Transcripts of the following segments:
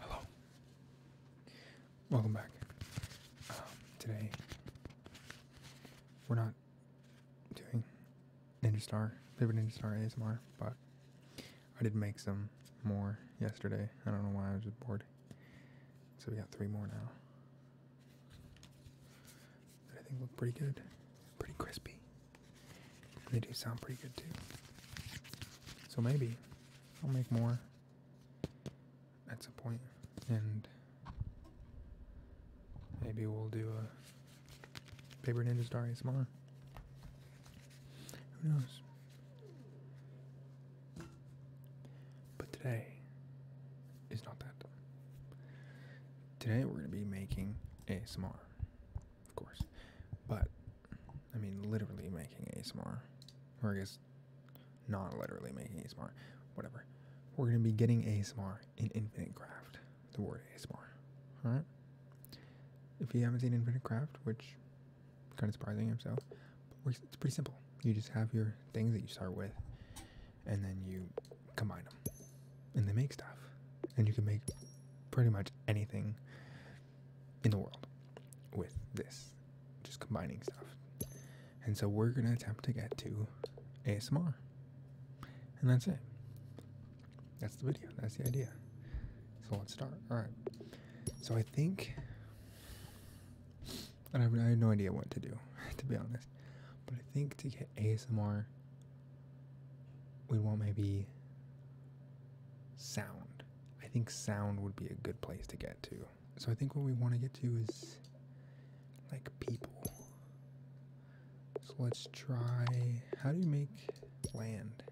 Hello. Welcome back. Um, today, we're not doing Ninja Star, Paper Ninja Star ASMR, but I did make some more yesterday. I don't know why I was just bored. So we got three more now. That I think look pretty good, pretty crispy they do sound pretty good too. So maybe I'll make more at some point and maybe we'll do a Paper Ninja Star ASMR. Who knows? But today is not that. Today we're going to be making ASMR of course. But I mean, literally making ASMR, or I guess not literally making ASMR, whatever. We're gonna be getting ASMR in Infinite Craft. The word ASMR, all right. If you haven't seen Infinite Craft, which kind of surprising himself, it's pretty simple. You just have your things that you start with, and then you combine them and they make stuff. And you can make pretty much anything in the world with this, just combining stuff. And so we're going to attempt to get to ASMR. And that's it. That's the video. That's the idea. So let's start. All right. So I think, and I have, I have no idea what to do, to be honest. But I think to get ASMR we want maybe sound. I think sound would be a good place to get to. So I think what we want to get to is like people. So let's try how do you make land?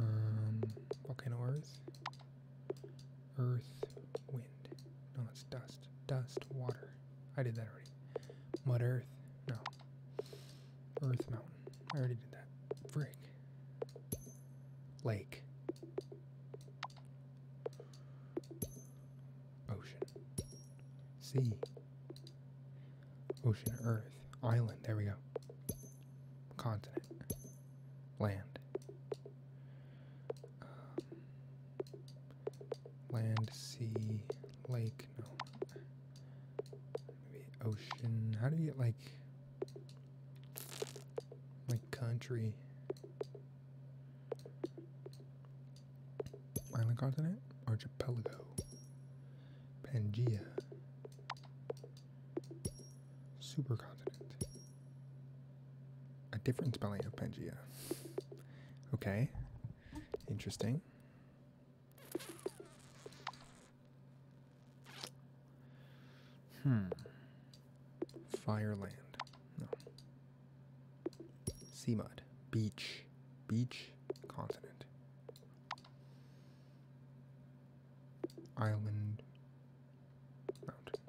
Um volcano earth. wind. No, it's dust. Dust, water. I did that already. Mud Earth. No. Earth Mountain. I already did that. Freak. Lake. Ocean. Sea. Ocean, Earth. Island. There we go. Continent. Land. Um, land, sea, lake, no, maybe ocean. How do you get like, like country? Island continent? Archipelago. Pangea. Supercontinent. A different spelling of Pangea. Okay. Interesting. Hmm. Fireland. No. Sea mud. Beach. Beach. Continent. Island. Mountain.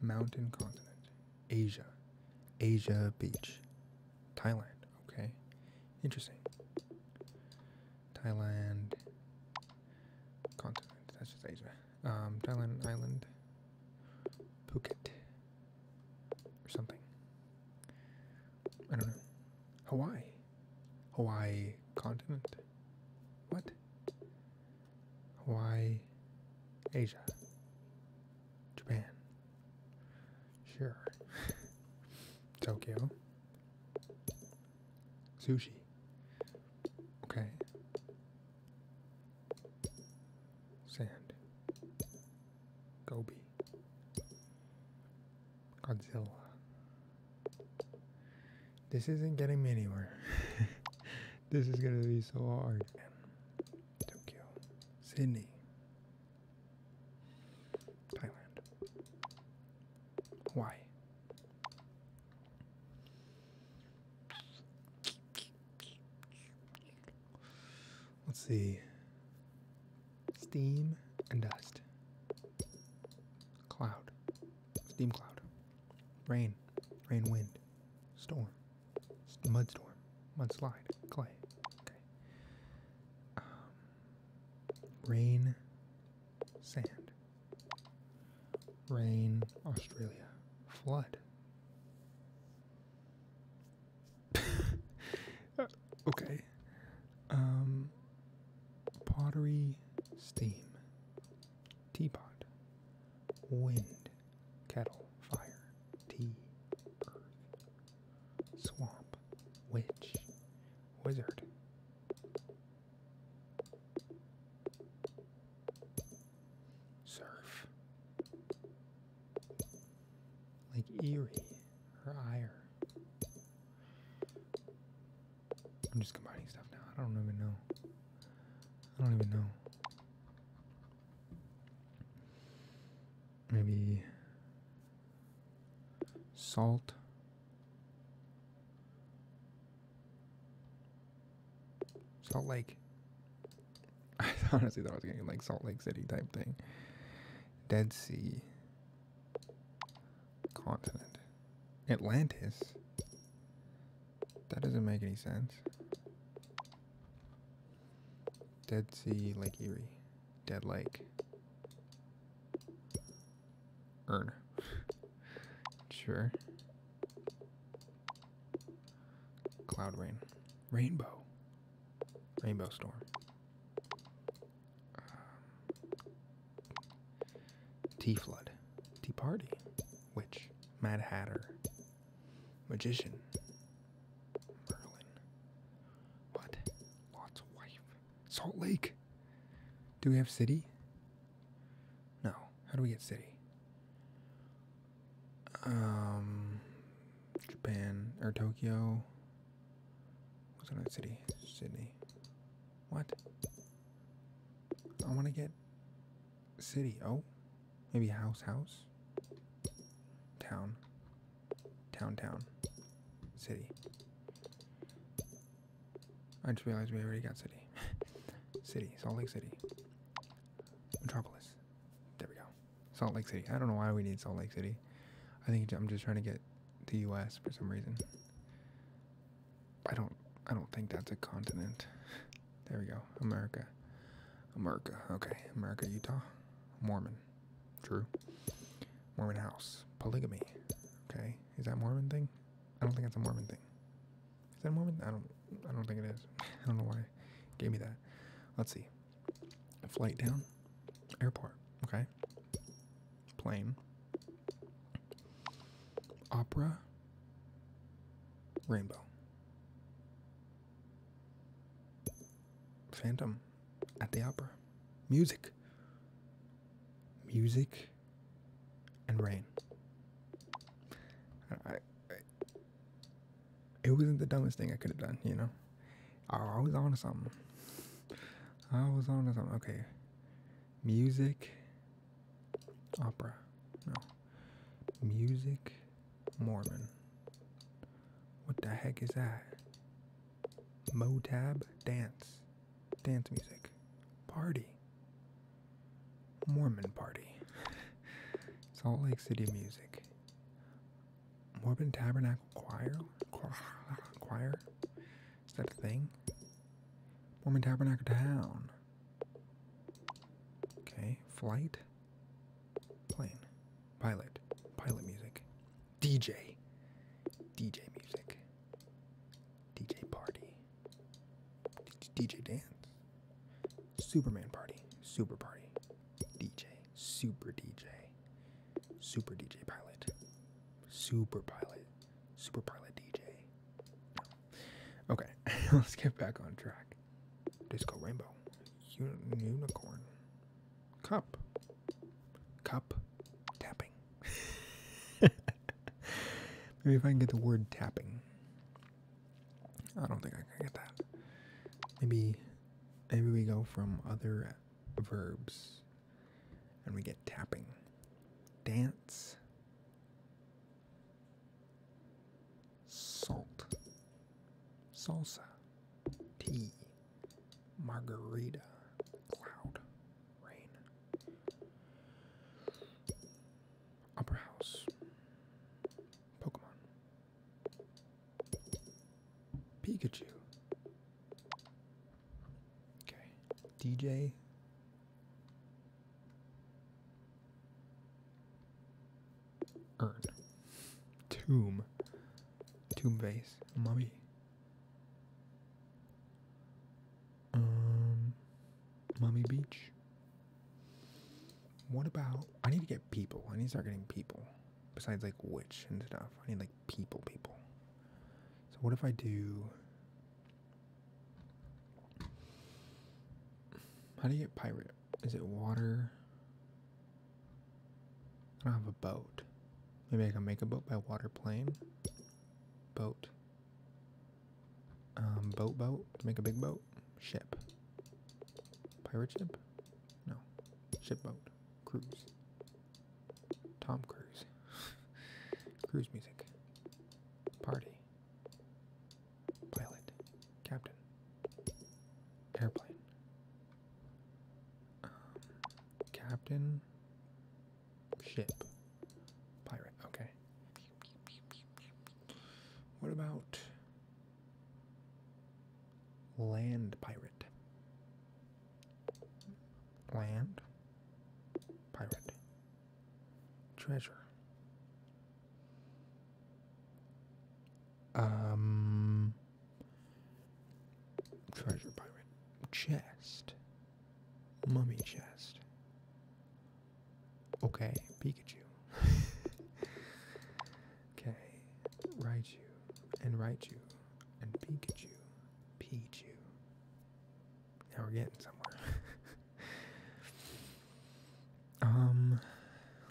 Mountain continent. Asia, Asia Beach, Thailand. Okay, interesting. Thailand continent. That's just Asia. Um, Thailand island, Phuket, or something. I don't know. Hawaii, Hawaii continent. What? Hawaii, Asia. Japan. Sure. Tokyo. Sushi. Okay. Sand. Gobi. Godzilla. This isn't getting me anywhere. this is gonna be so hard. Tokyo, Sydney, Thailand, Hawaii. Let's see. Steam and dust. Cloud. Steam cloud. Rain. Rain wind. Storm. Mudstorm, mudslide, clay. Okay. Um, rain, sand. Rain, Australia, flood. okay. Um, pottery, steam, teapot, wind, kettle, fire, tea, earth, swamp, witch, wizard. Surf. Like eerie or Ire. I'm just combining stuff now. I don't even know. I don't even know maybe salt. Salt Lake. I honestly thought I was getting like Salt Lake City type thing. Dead Sea. Continent. Atlantis? That doesn't make any sense. Dead Sea, Lake Erie, Dead Lake. Urn. sure. Cloud rain. Rainbow. Rainbow storm. Um, tea flood. Tea party. Witch. Mad Hatter. Magician. Merlin. What? Lot's wife. Salt Lake. Do we have city? No. How do we get city? Um, Japan or Tokyo. What's another city? Sydney. What? I want to get city. Oh, maybe house, house, town downtown city. I just realized we already got city. city, Salt Lake City. Metropolis. There we go. Salt Lake City. I don't know why we need Salt Lake City. I think I'm just trying to get the US for some reason. I don't I don't think that's a continent. There we go. America. America. Okay. America, Utah. Mormon. True. Mormon house. Polygamy. Okay. Is that Mormon thing? I don't think it's a Mormon thing. Is that Mormon? I don't I don't think it is. I don't know why. Gave me that. Let's see. Flight down. Airport. Okay. Plane. Opera. Rainbow. Phantom at the opera. Music. Music and rain. it wasn't the dumbest thing I could have done, you know? I, was on something. I was on to something. Okay. Music. Opera. No. Music Mormon. What the heck is that? Motab dance. Dance music. Party. Mormon party. Salt Lake City music. Mormon Tabernacle Choir? Choir? Is that a thing? Mormon Tabernacle Town. Okay, flight. Plane. Pilot. Pilot music. DJ. DJ music. DJ party. DJ dance. Superman party. Super party. DJ. Super DJ. Super DJ pilot. Super pilot. Super pilot DJ. Okay, let's get back on track. Disco Rainbow. unicorn cup. Cup tapping. Maybe if I can get the word tapping. I don't think I can get that. Maybe maybe we go from other verbs and we get tapping. Dance. Salt. Salsa. Tea. Margarita. Cloud. Rain. Upper House. Pokemon. Pikachu. Okay. DJ urn, tomb, tomb base, mummy. Um, mummy beach. What about? I need to get people. I need to start getting people. Besides like witch and stuff, I need like people, people. So what if I do? How do you get pirate? Is it water? I don't have a boat. Maybe I can make a boat by water plane. Boat. Um, boat, boat. Make a big boat. Ship. Pirate ship? No. Ship boat. Cruise. Tom Cruise. Cruise music. Party. Pilot. Captain. Airplane captain ship pirate. Okay. What about land pirate? Land pirate treasure. Um Treasure pirate. Chest. Mummy chest. Okay, Pikachu. okay, Raichu and Raichu and Pikachu. Pichu. Now we're getting somewhere. um,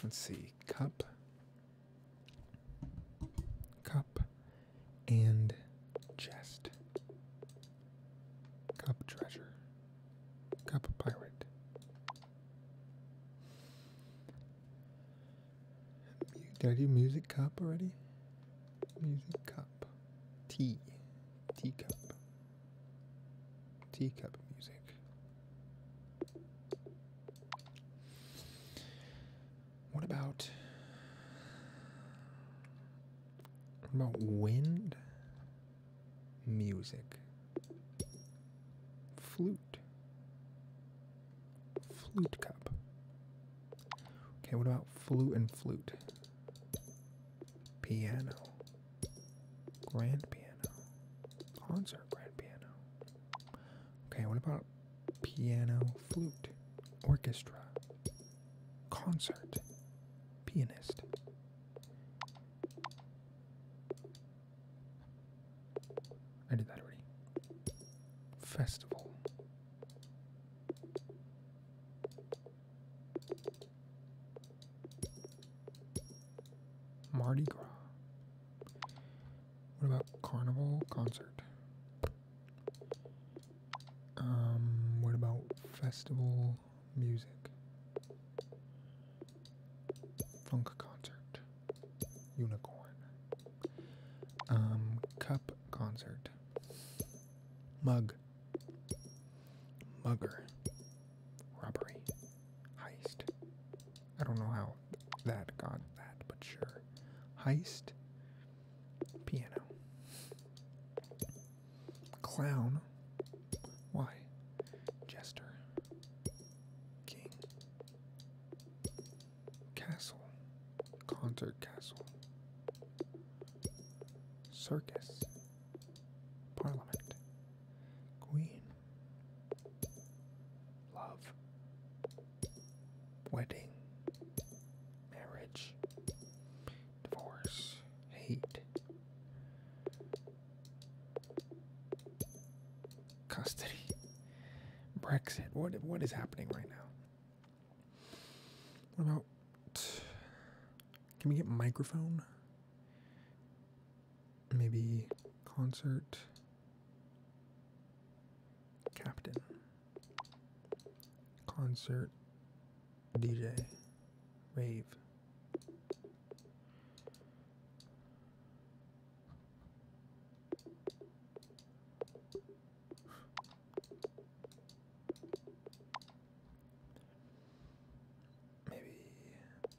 let's see. Cup. Cup and chest. Cup treasure. Cup pirate. Did I do music cup already? Music cup. Tea. Tea cup. Tea cup music. What about about wind music? Flute. Flute cup. Okay, what about flute and flute? Piano. Grand piano. Concert grand piano. Okay, what about piano, flute, orchestra, concert, pianist? I did that already. Festival. Mardi Gras. What about carnival concert? Um, what about festival music? Funk concert. Unicorn. Um, cup concert. Mug. Mugger. Robbery. Heist. I don't know how that got that, but sure. Heist. Piano. Clown. Why? Jester. King. Castle. Concert castle. Circus. Parliament. Queen love, wedding, marriage, divorce, hate, custody, Brexit. What what is happening right now? What about? Can we get microphone? Maybe concert. Captain. Concert DJ Rave. Maybe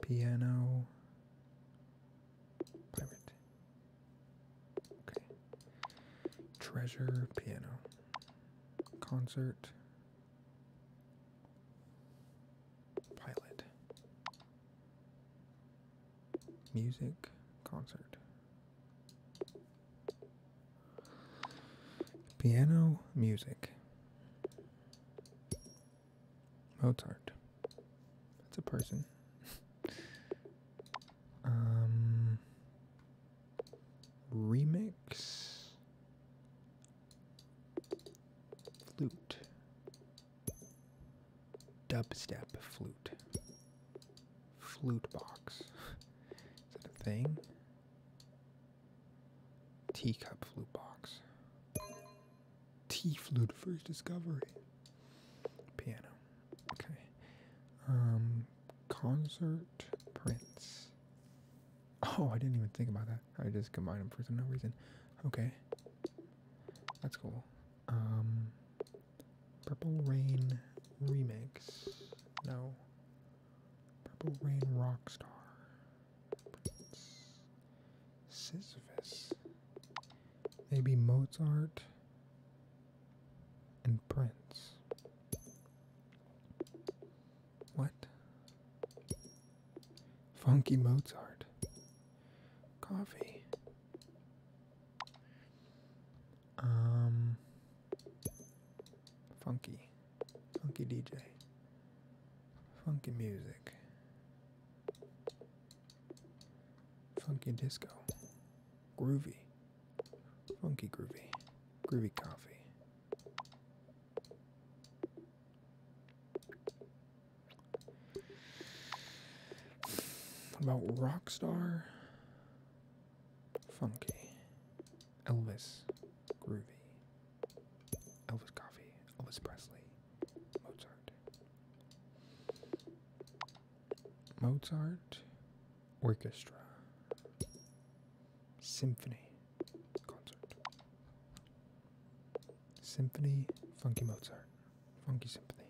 piano Pirate. Okay. Treasure piano. Concert. Pilot. Music concert. Piano music. Mozart. That's a person. Um, remix, flute, dubstep flute, flute box. Is that a thing? Teacup flute box. Tea flute first discovery. Piano. Okay. Um, concert prints. Oh, I didn't even think about that. I just combined them for no reason. Okay. That's cool. Um, Purple Rain Remix. No. Purple Rain Rockstar. Prince. Sisyphus. Maybe Mozart and Prince. What? Funky Mozart. Coffee. Um. Funky. Funky DJ. Funky music. Funky disco. Groovy. Funky groovy. Groovy coffee. About rock star, Funky. Elvis Groovy. Elvis Coffee. Elvis Presley. Mozart. Mozart Orchestra Symphony Concert Symphony Funky Mozart Funky Symphony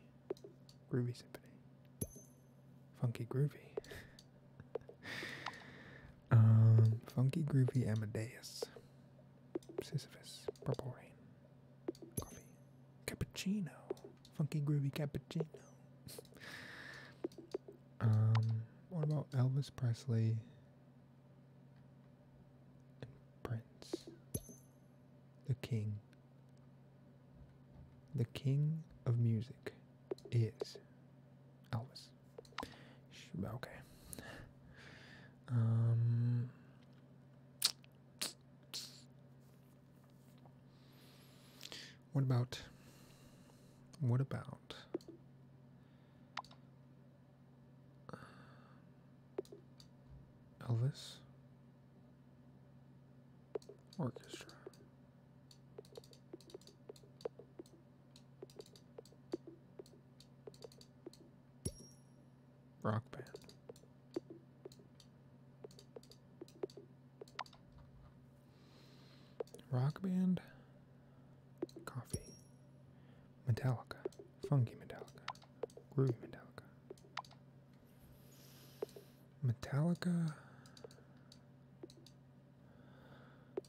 Groovy Symphony Funky Groovy Um Funky Groovy Amadeus Sisyphus Purple Coffee Cappuccino funky groovy cappuccino. Um, what about Elvis Presley Prince? The king. The king of music is Elvis. Okay. Um, what about what about Elvis Orchestra? Rock band. Rock band, coffee, Metallica, funky Metallica, groovy Metallica, Metallica,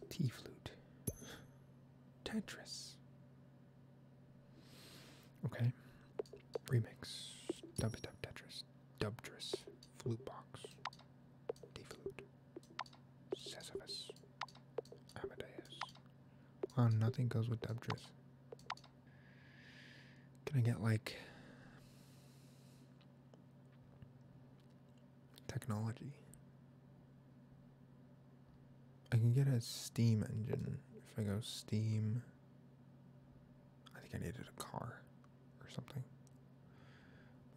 tea flute, Tetris. Okay, remix, dubstep Tetris, dubdress. Flute box. Deflute. Sisyphus. Amadeus. Wow, nothing goes with Dubtris. Can I get like technology? I can get a steam engine if I go steam I think I needed a car or something.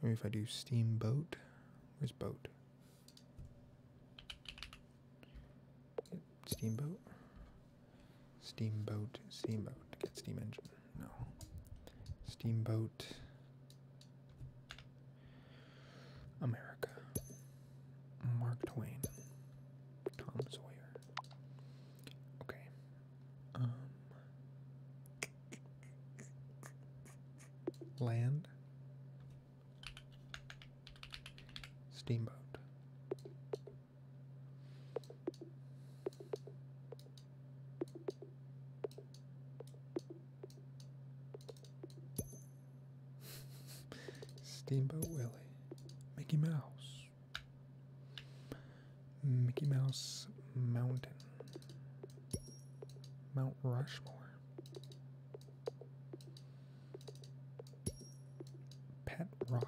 Maybe if I do steamboat. Where's boat? Steamboat. Steamboat. Steamboat. Get steam engine. No. Steamboat. America. Mark Twain. Tom Sawyer. Okay. Um, land, steamboat. Steamboat Willie, Mickey Mouse, Mickey Mouse Mountain. Mount Rushmore. Pet Rock.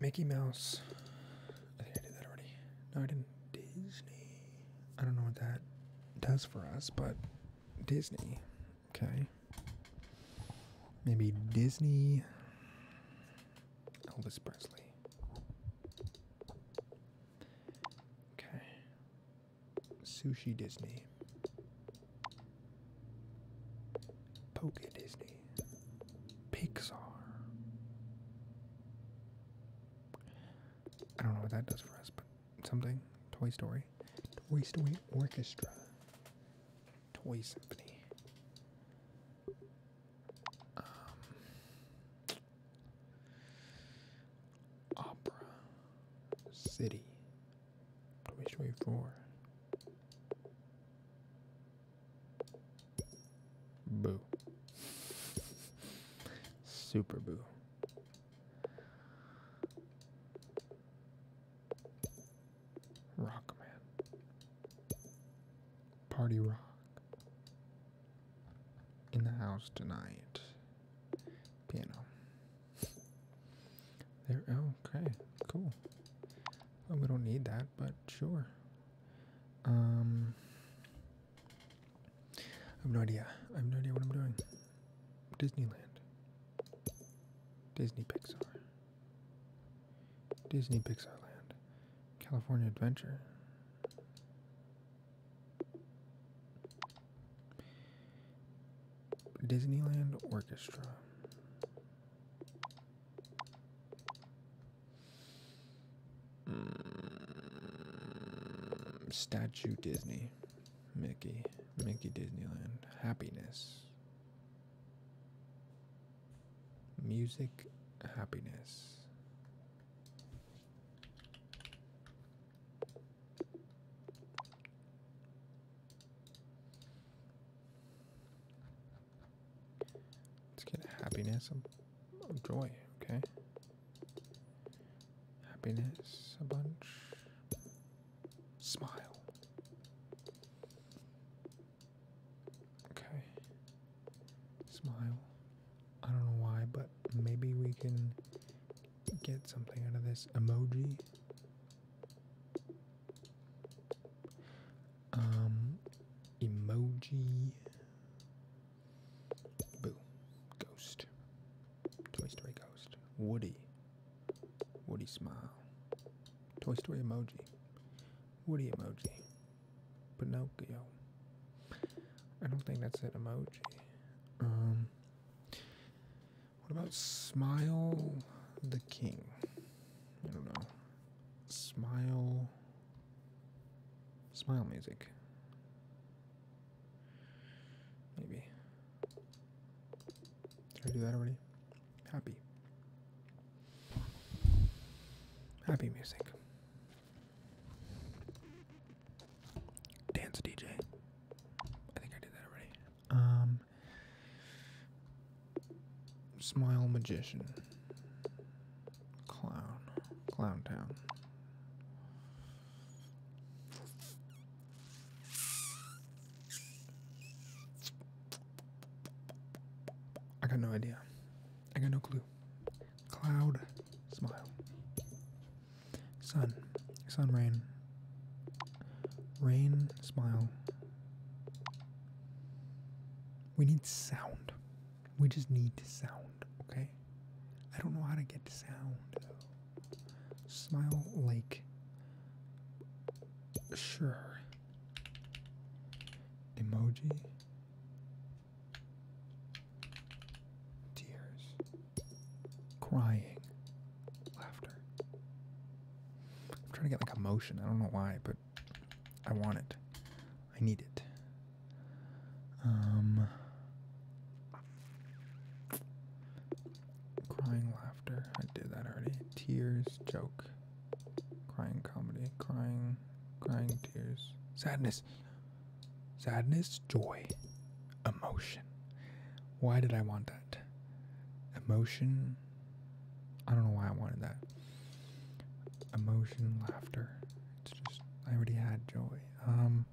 Mickey Mouse. I think I did that already. No, I didn't. Disney. I don't know what that does for us, but Disney. Okay. Maybe Disney. Elvis Presley. Okay. Sushi Disney. Poke Disney. Pixar. I don't know what that does for us, but something. Toy Story. Toy Story Orchestra. Toy Symphony. Um, opera. City. Which way for? Boo. Super boo. Rock man. Party rock. In the house tonight. Piano. They're oh, Okay, cool. we don't need that, but sure. Um, I have no idea. I have no idea what I'm doing. Disneyland. Disney Pixar. Disney Pixar Land. California Adventure. Disneyland Orchestra. Mm, statue Disney. Mickey. Mickey Disneyland. Happiness. Music happiness. Let's get happiness. Oh, joy. Okay. Happiness. A bunch. Smile. Okay. Smile. I don't know why, but maybe we can get something out of this emoji. Um, emoji. Boo. Ghost. Toy Story Ghost. Woody. Woody smile. Toy Story emoji. Woody emoji. Pinocchio. I don't think that's an emoji. Um, what about Smile the King? I don't know. Smile. Smile music. Maybe. Did I do that already? Happy. Happy music. Dance DJ. I think I did that already. Um Smile Magician. Clown. Clown Town. I got no idea. I got no clue. Cloud. Smile. Sun. Sun, rain. Rain, smile, we need sound. We just need sound, okay? I don't know how to get sound. Smile like. Sure. Emoji. Tears. Crying. Laughter. I'm trying to get like a motion. I don't know why, I want it. I need it. Um, crying laughter. I did that already. Tears, joke. Crying comedy. Crying, crying tears. Sadness. Sadness, joy, emotion. Why did I want that? Emotion I don't know why I wanted that. Emotion, laughter. It's just I already had joy. Um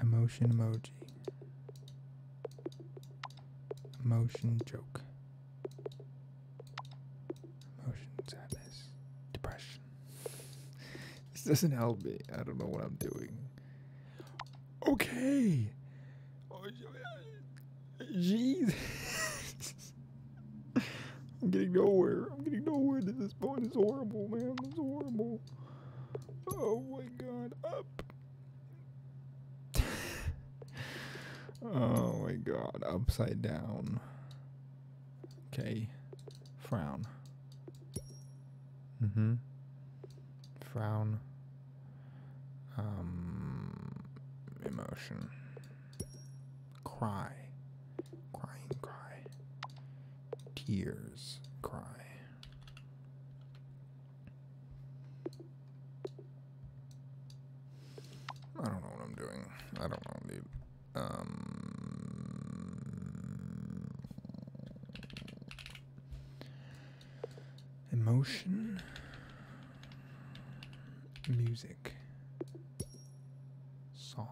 emotion emoji. Emotion joke. Emotions I miss. Depression. this doesn't help me. I don't know what I'm doing. Okay. Jeez. I'm getting nowhere. I'm getting nowhere to this point. It's horrible, man. It's horrible. Oh my god. Up. oh my god. Upside down. Okay. Frown. Mm hmm. Frown. Um, emotion. Cry. Crying cry. Tears cry. I don't know what I'm doing. I don't know, dude. Um, emotion music song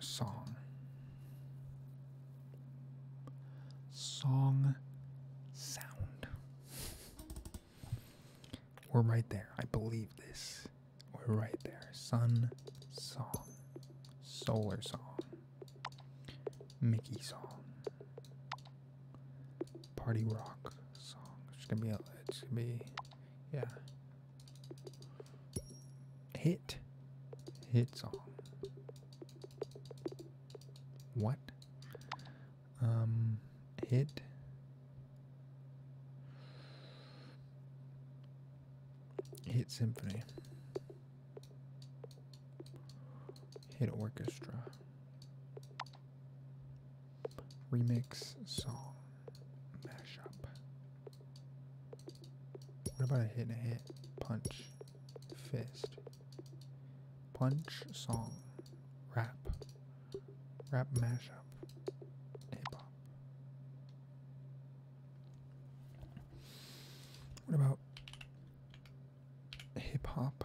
song song sound we're right there. I believe this. We're right there. Sun song. Solar song. Mickey song. Party rock song. It's gonna be a, it's gonna be yeah. Hit. Hit song. What? um, hit. Hit symphony. Hit orchestra. Remix song. Mashup. What about a hit and a hit? Punch. Fist. Punch song. Rap. Rap mashup. Hip hop. What about hip hop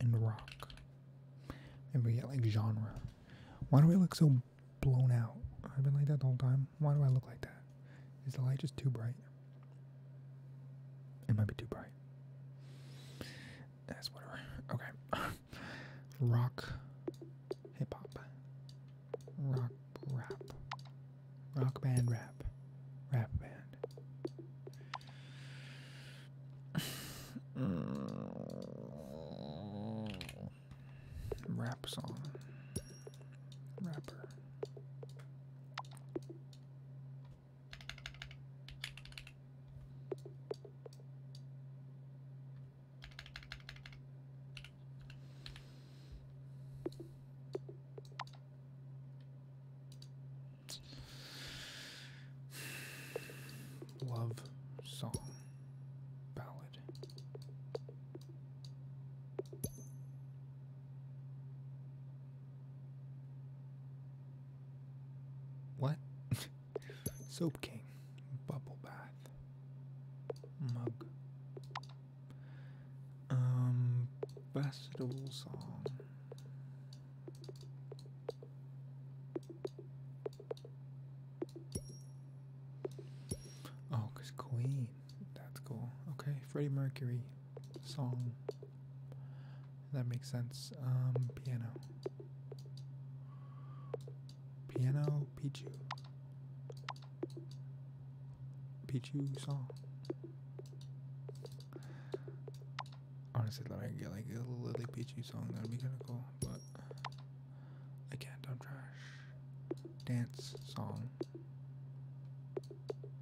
and rock? Maybe we get like genre. Why do I look so blown out? I've been like that the whole time. Why do I look like that? Is the light just too bright? It might be too bright. That's whatever. Okay. rock hip hop. Rock rap. Rock band rap. Rap band. rap song. Rapper. Love song ballad. What? Soap King. Bubble bath. Mug. Um, Bastille song. Oh, cause Queen. That's cool. Okay, Freddie Mercury song. That makes sense. Um, piano. Piano Pichu. Pichu song. Honestly, let me get like a little Lily Pichu song. That'd be kind of cool, but I can't. I'm trash. Dance song.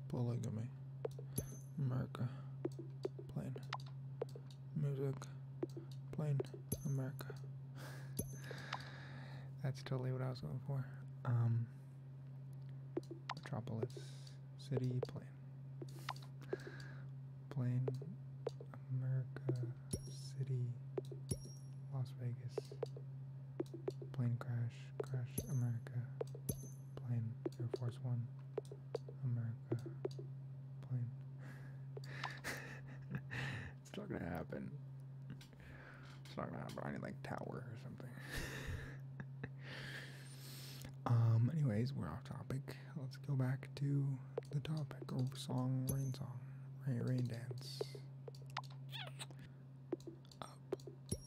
Polygamy. America. Plane. Music. Plane. America. That's totally what I was going for. Um, metropolis. City. Plane. Plane. America. City. Las Vegas. Plane crash. Crash. America. Plane. Air Force One, America plane. it's not gonna happen. It's not gonna happen. I need like tower or something. um. Anyways, we're off topic. Let's go back to the topic. Oh, song, rain song, rain, rain dance. punch,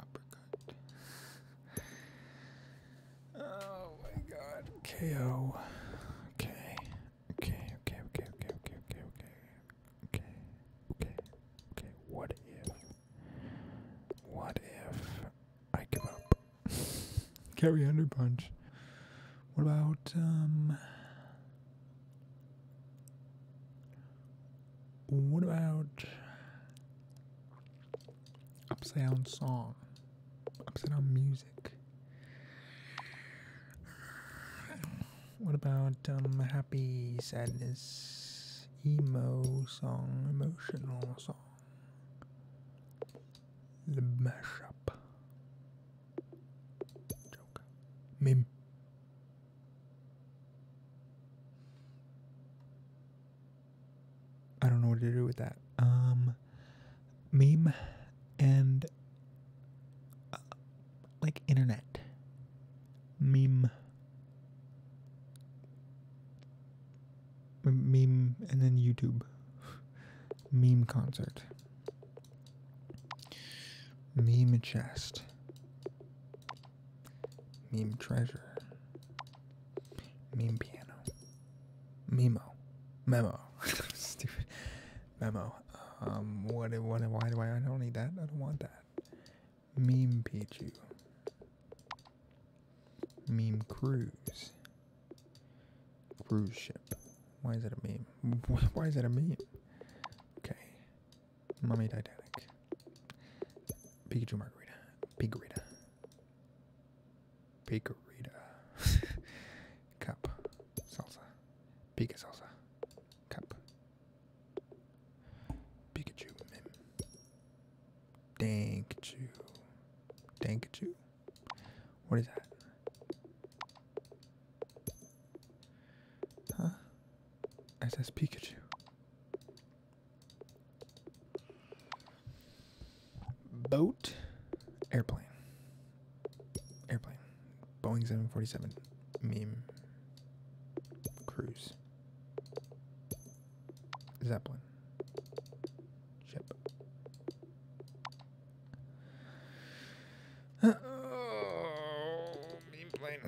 uppercut. KO. Okay. Okay, okay, okay, okay, okay, okay, okay. Okay, okay, What if? What if I give up? Carry under punch. What about what about upside down song, upside down music. What about um, happy, sadness, emo song, emotional song? The mashup. Joke. Meme. I don't know what to do with that. Um, meme and uh, like internet. Meme. Meme and then YouTube. Meme concert. Meme chest. Meme treasure. Meme piano. Memo. Memo. Stupid. Memo. Um, what, what, why do I, don't need that. I don't want that. Meme Pikachu, Meme cruise. Cruise ship. Why is that a meme? Why is that a meme? Okay. Mummy Titanic. Pikachu Margarita. Pigarita. Bakerita. Cup. Salsa. Pika Cup. Pikachu. Mim. What is that? Huh? It says Pikachu. Boat. Airplane. Airplane. Boeing 747. Meme. Cruise. Zeppelin. Ship. oh, meme plane.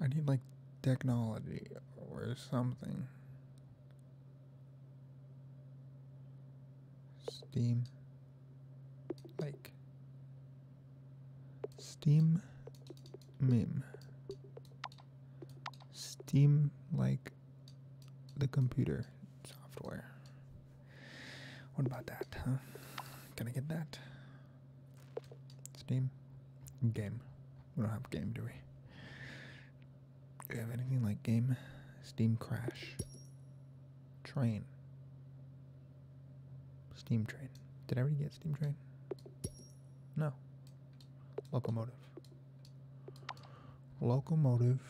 I need like technology or something. Steam. Like. Steam meme. Steam like the computer software. What about that, Can I get that? Steam? Game. We don't have game, do we? Do we have anything like game? Steam crash. Train. Steam train. Did everybody get steam train? No. Locomotive. Locomotive.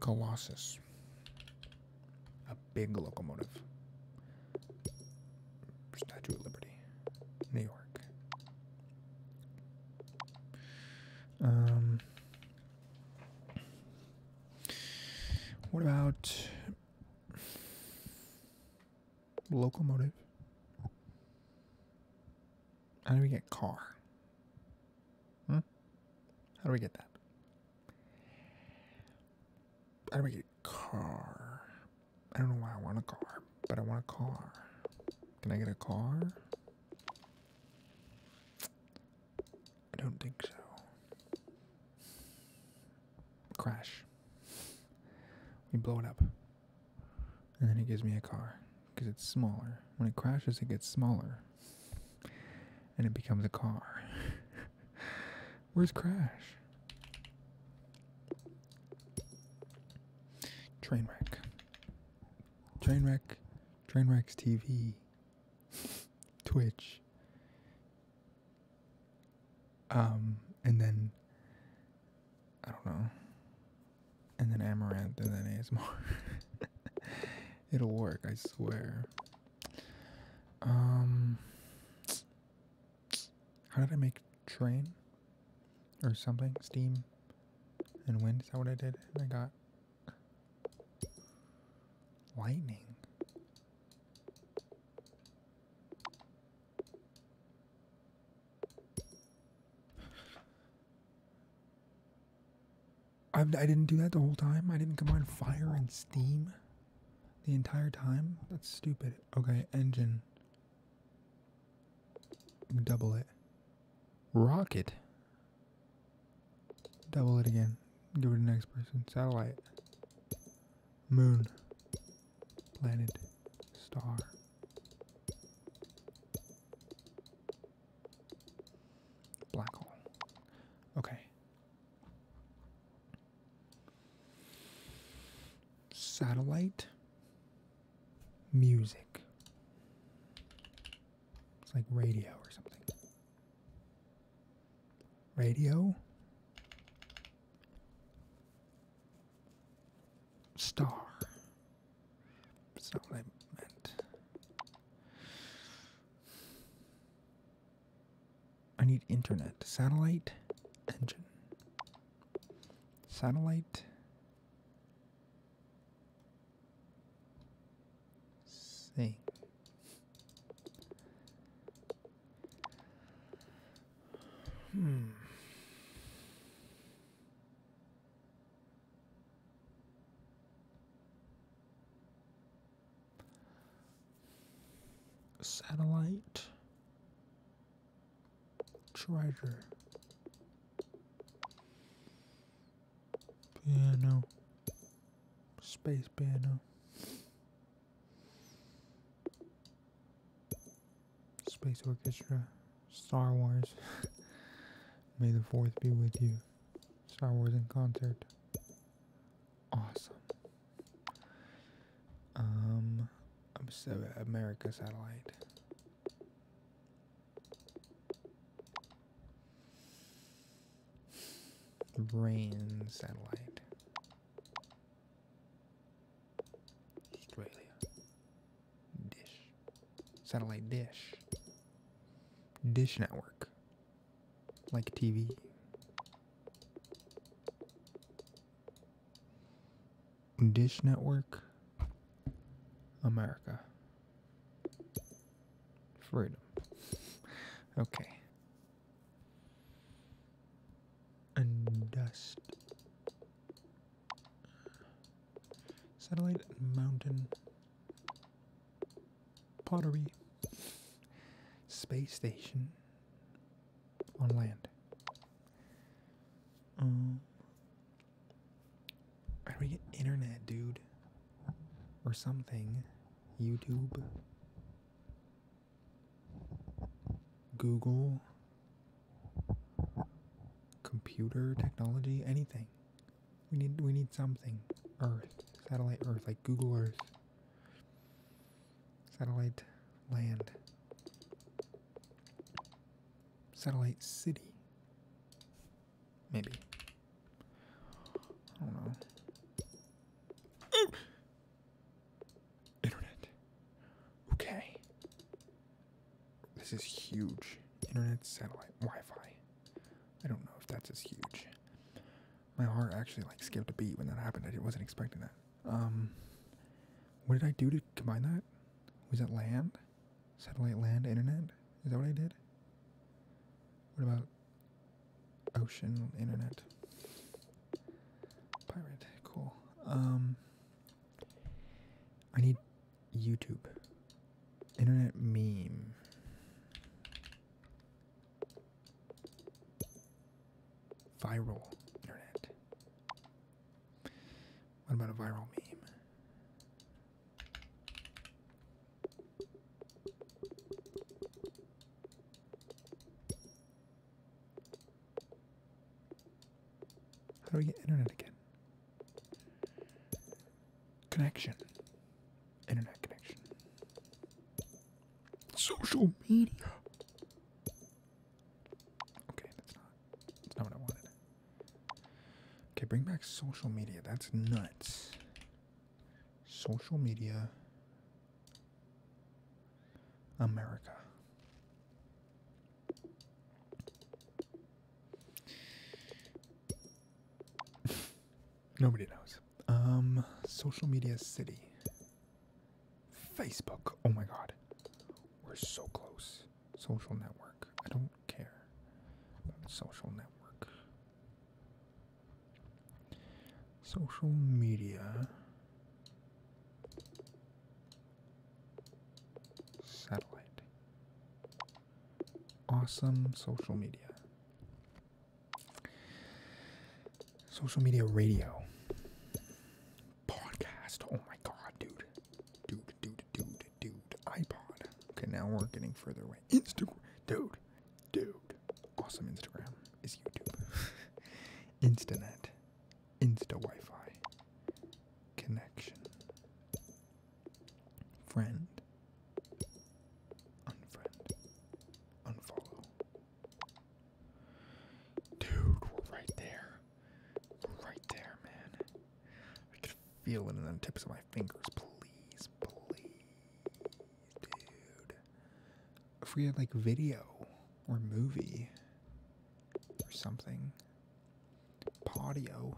Colossus. A big locomotive. Statue of Liberty, New York. Um, what about locomotive? How do we get car? Hmm? How do we get that? How do we get car? I don't know why I want a car, but I want a car. Can I get a car? I don't think so. Crash. We blow it up. And then it gives me a car because it's smaller. When it crashes, it gets smaller and it becomes a car. Where's Crash? Trainwreck. Trainwreck. Trainwreck's TV. Twitch. Um, and then I don't know. And then Amaranth and then more. It'll work, I swear. Um, how did I make train or something? Steam and wind. Is that what I did? I got lightning. I've, I did not do that the whole time. I didn't combine fire and steam the entire time. That's stupid. Okay, engine. Double it. Rocket. Double it again. Give it to the next person. Satellite. Moon. Planet. Star. Black hole. Okay. Satellite music. It's like radio or something. Radio star. It's not what I meant. I need internet. Satellite engine. Satellite. Thing. Hmm. Satellite. Treasure. Piano. Space piano. Space Orchestra. Star Wars. May the 4th be with you. Star Wars in concert awesome. Um, America satellite. Rain satellite. Australia. Dish. Satellite dish. Dish network like TV. Dish Network, America, freedom. Okay. And dust. Satellite mountain pottery, space station on land. Um, how do we get internet, dude? Or something? YouTube? Google? Computer technology? Anything? We need we need something. Earth. Satellite Earth, like Google Earth. Satellite land. Satellite city. Maybe. I don't know. Internet. Okay. This is huge. Internet satellite Wi-Fi. I don't know if that's as huge my heart actually like skipped a beat when that happened. I wasn't expecting that. Um, what did I do to combine that? Was it land, satellite, land, internet? Is that what I did? What about ocean, internet? Pirate, cool. Um, I need YouTube, internet meme. Viral internet. What about a viral meme? How do we get internet again? Connection internet connection. Social media. Okay, that's not that's not what I wanted. Okay, bring back social media. That's nuts. Social media America. Nobody knows. Um, social media city. Facebook. Oh my god. We're so close. Social network. I don't care social network. Social media. Satellite. Awesome social media. Social media radio. Podcast. Oh my god, dude. Dude, dude, dude, dude. iPod. Okay, now we're getting further away. Instagram. Dude. Dude. Awesome Instagram is YouTube. Instanet. Insta Wi Connection. Friend. Unfriend. Unfollow. Dude, we're right there. right there, man. I can feel it in the tips of my fingers. Please, please, dude. If we had like video or movie or something. audio,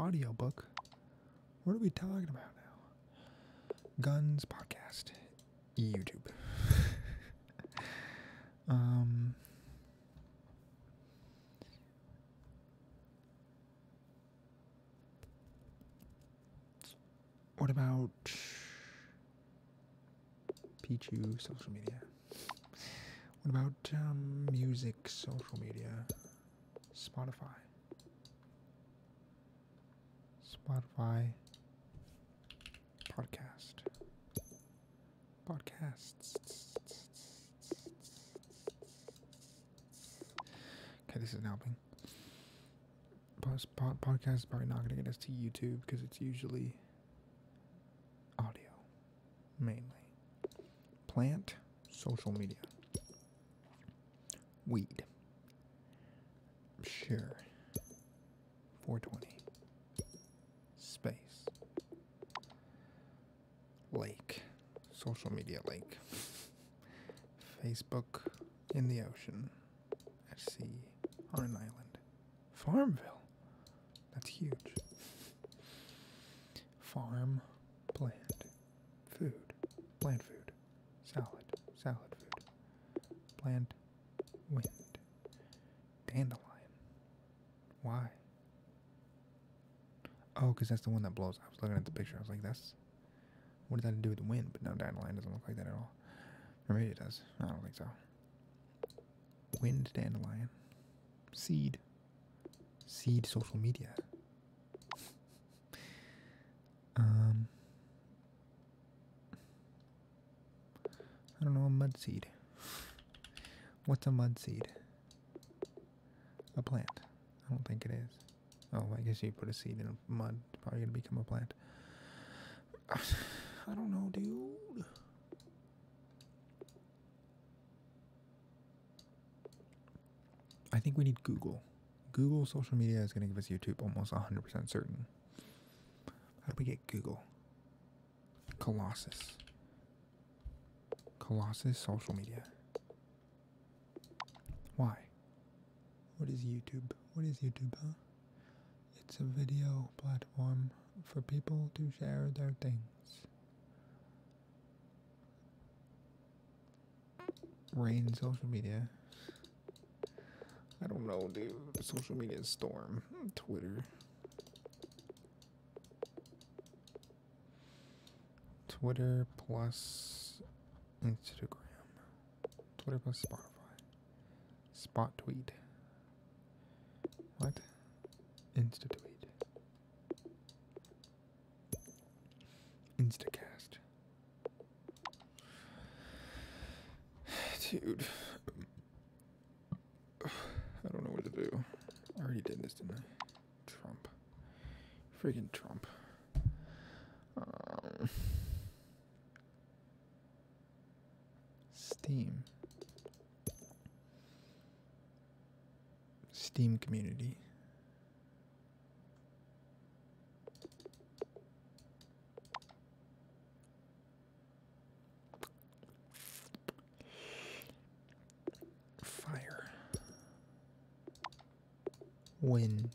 audio book. What are we talking about now? Guns podcast, YouTube. um, what about Pichu social media? What about um, music social media? Spotify. Spotify podcast. Podcasts. Okay, this isn't helping. Plus, pod podcast is probably not going to get us to YouTube because it's usually audio mainly. Plant social media. Weed. Sure. 420. Space. Lake. Social media lake. Facebook in the ocean. At sea. On an island. Farmville. That's huge. Farm. Plant. Food. Plant food food. Salad. Salad food. Plant. Wind. Dandelion. Why? Oh, because that's the one that blows. I was looking at the picture. I was like, that's. What does that do with the wind? But no, dandelion doesn't look like that at all. Or maybe it does. I don't think so. Wind dandelion. Seed. Seed social media. Um, I don't know a mud seed. What's a mud seed? A plant. I don't think it is. Oh, I guess you put a seed in a mud. probably gonna become a plant. I don't know, dude. I think we need Google. Google social media is going to give us YouTube almost 100% certain. How do we get Google? Colossus. Colossus social media. Why? What is YouTube? What is YouTube, It's a video platform for people to share their things. Rain social media. I don't know, dude. Social media storm. Twitter. Twitter plus Instagram. Twitter plus Spotify. Spot tweet. What? Insta tweet. Instacast. Dude. I don't know what to do. I already did this, didn't I? Trump. Freaking Trump. Um, Steam. Steam community. Fire. Wind.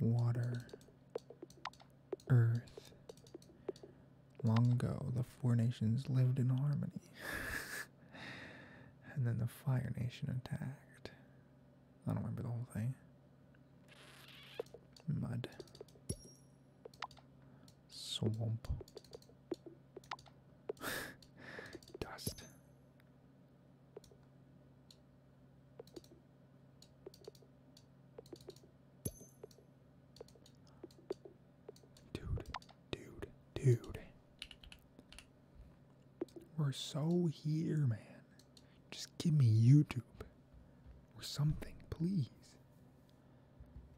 Water. Earth. Long ago, the four nations lived in harmony. and then the Fire Nation attacked. I don't remember the whole thing. Mud. Swamp. Dust. Dude, dude, dude. We're so here, man. Just give me YouTube or something, please.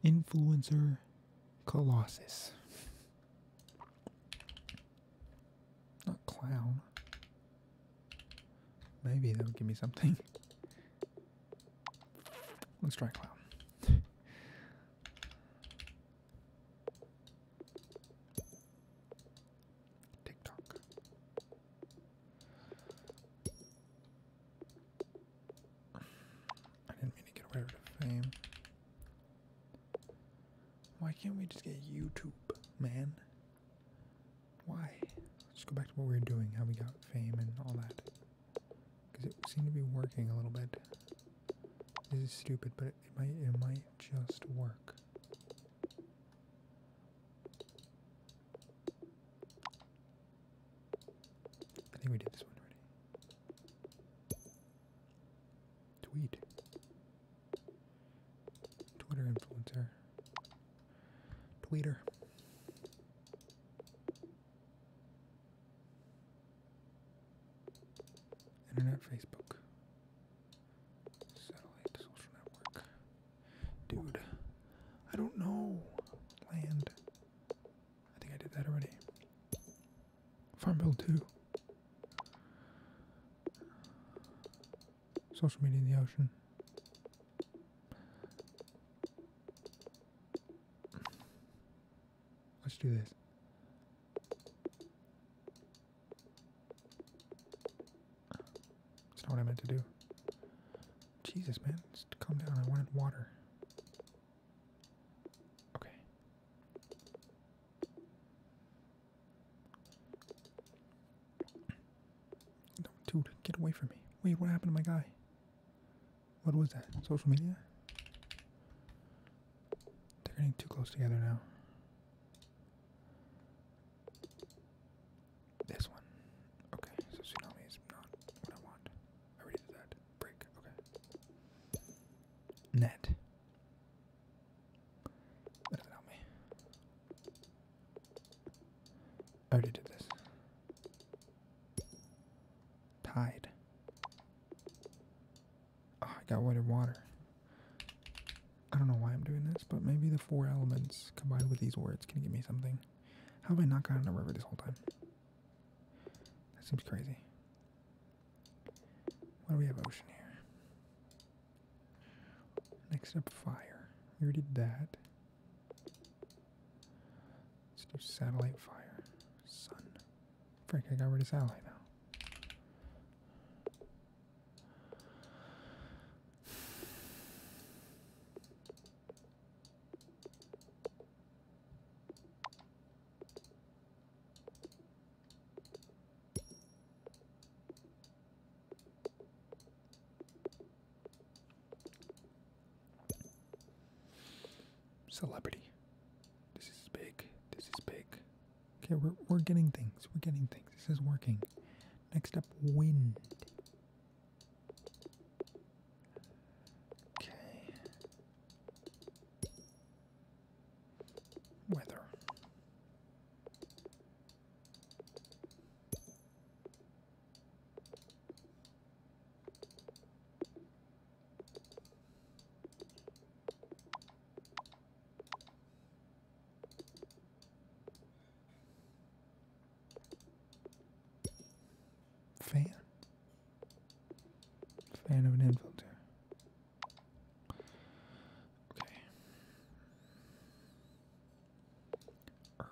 Influencer Colossus. Not clown. Maybe that will give me something. Let's try clown. TikTok. I didn't mean to get away with fame. Why can't we just get YouTube, man? Why? Let's go back to what we were doing, how we got fame and all that. Because it seemed to be working a little bit. This is stupid, but it might it might just work. I think we did this one already. Tweet. Twitter influencer. Tweeter. Internet, Facebook, satellite, social network. Dude, I don't know. Land. I think I did that already. Farm Bill 2. Social media in the ocean. Let's do this. That's not what I meant to do. Jesus, man, just calm down. I wanted water. Okay. dude, get away from me. Wait, what happened to my guy? What was that? Social media? They're getting too close together now. This one. Okay, so tsunami is not what I want. I already did that. Break. Okay. Net. That doesn't help me. I already did this. Tide. Oh, I got wet in water. I don't know why I'm doing this, but maybe the four elements combined with these words can give me something. How have I not gotten a river this whole time? That seems crazy. Why do we have ocean here? Next up, fire. We already did that. Let's do satellite fire. Sun. Frick, I got rid of satellite now. Celebrity. This is big. This is big. Okay, we're we're getting things. We're getting things. This is working. Next up, wind. Okay. Weather. Fan. Fan of an infiltrator. Okay. Earth.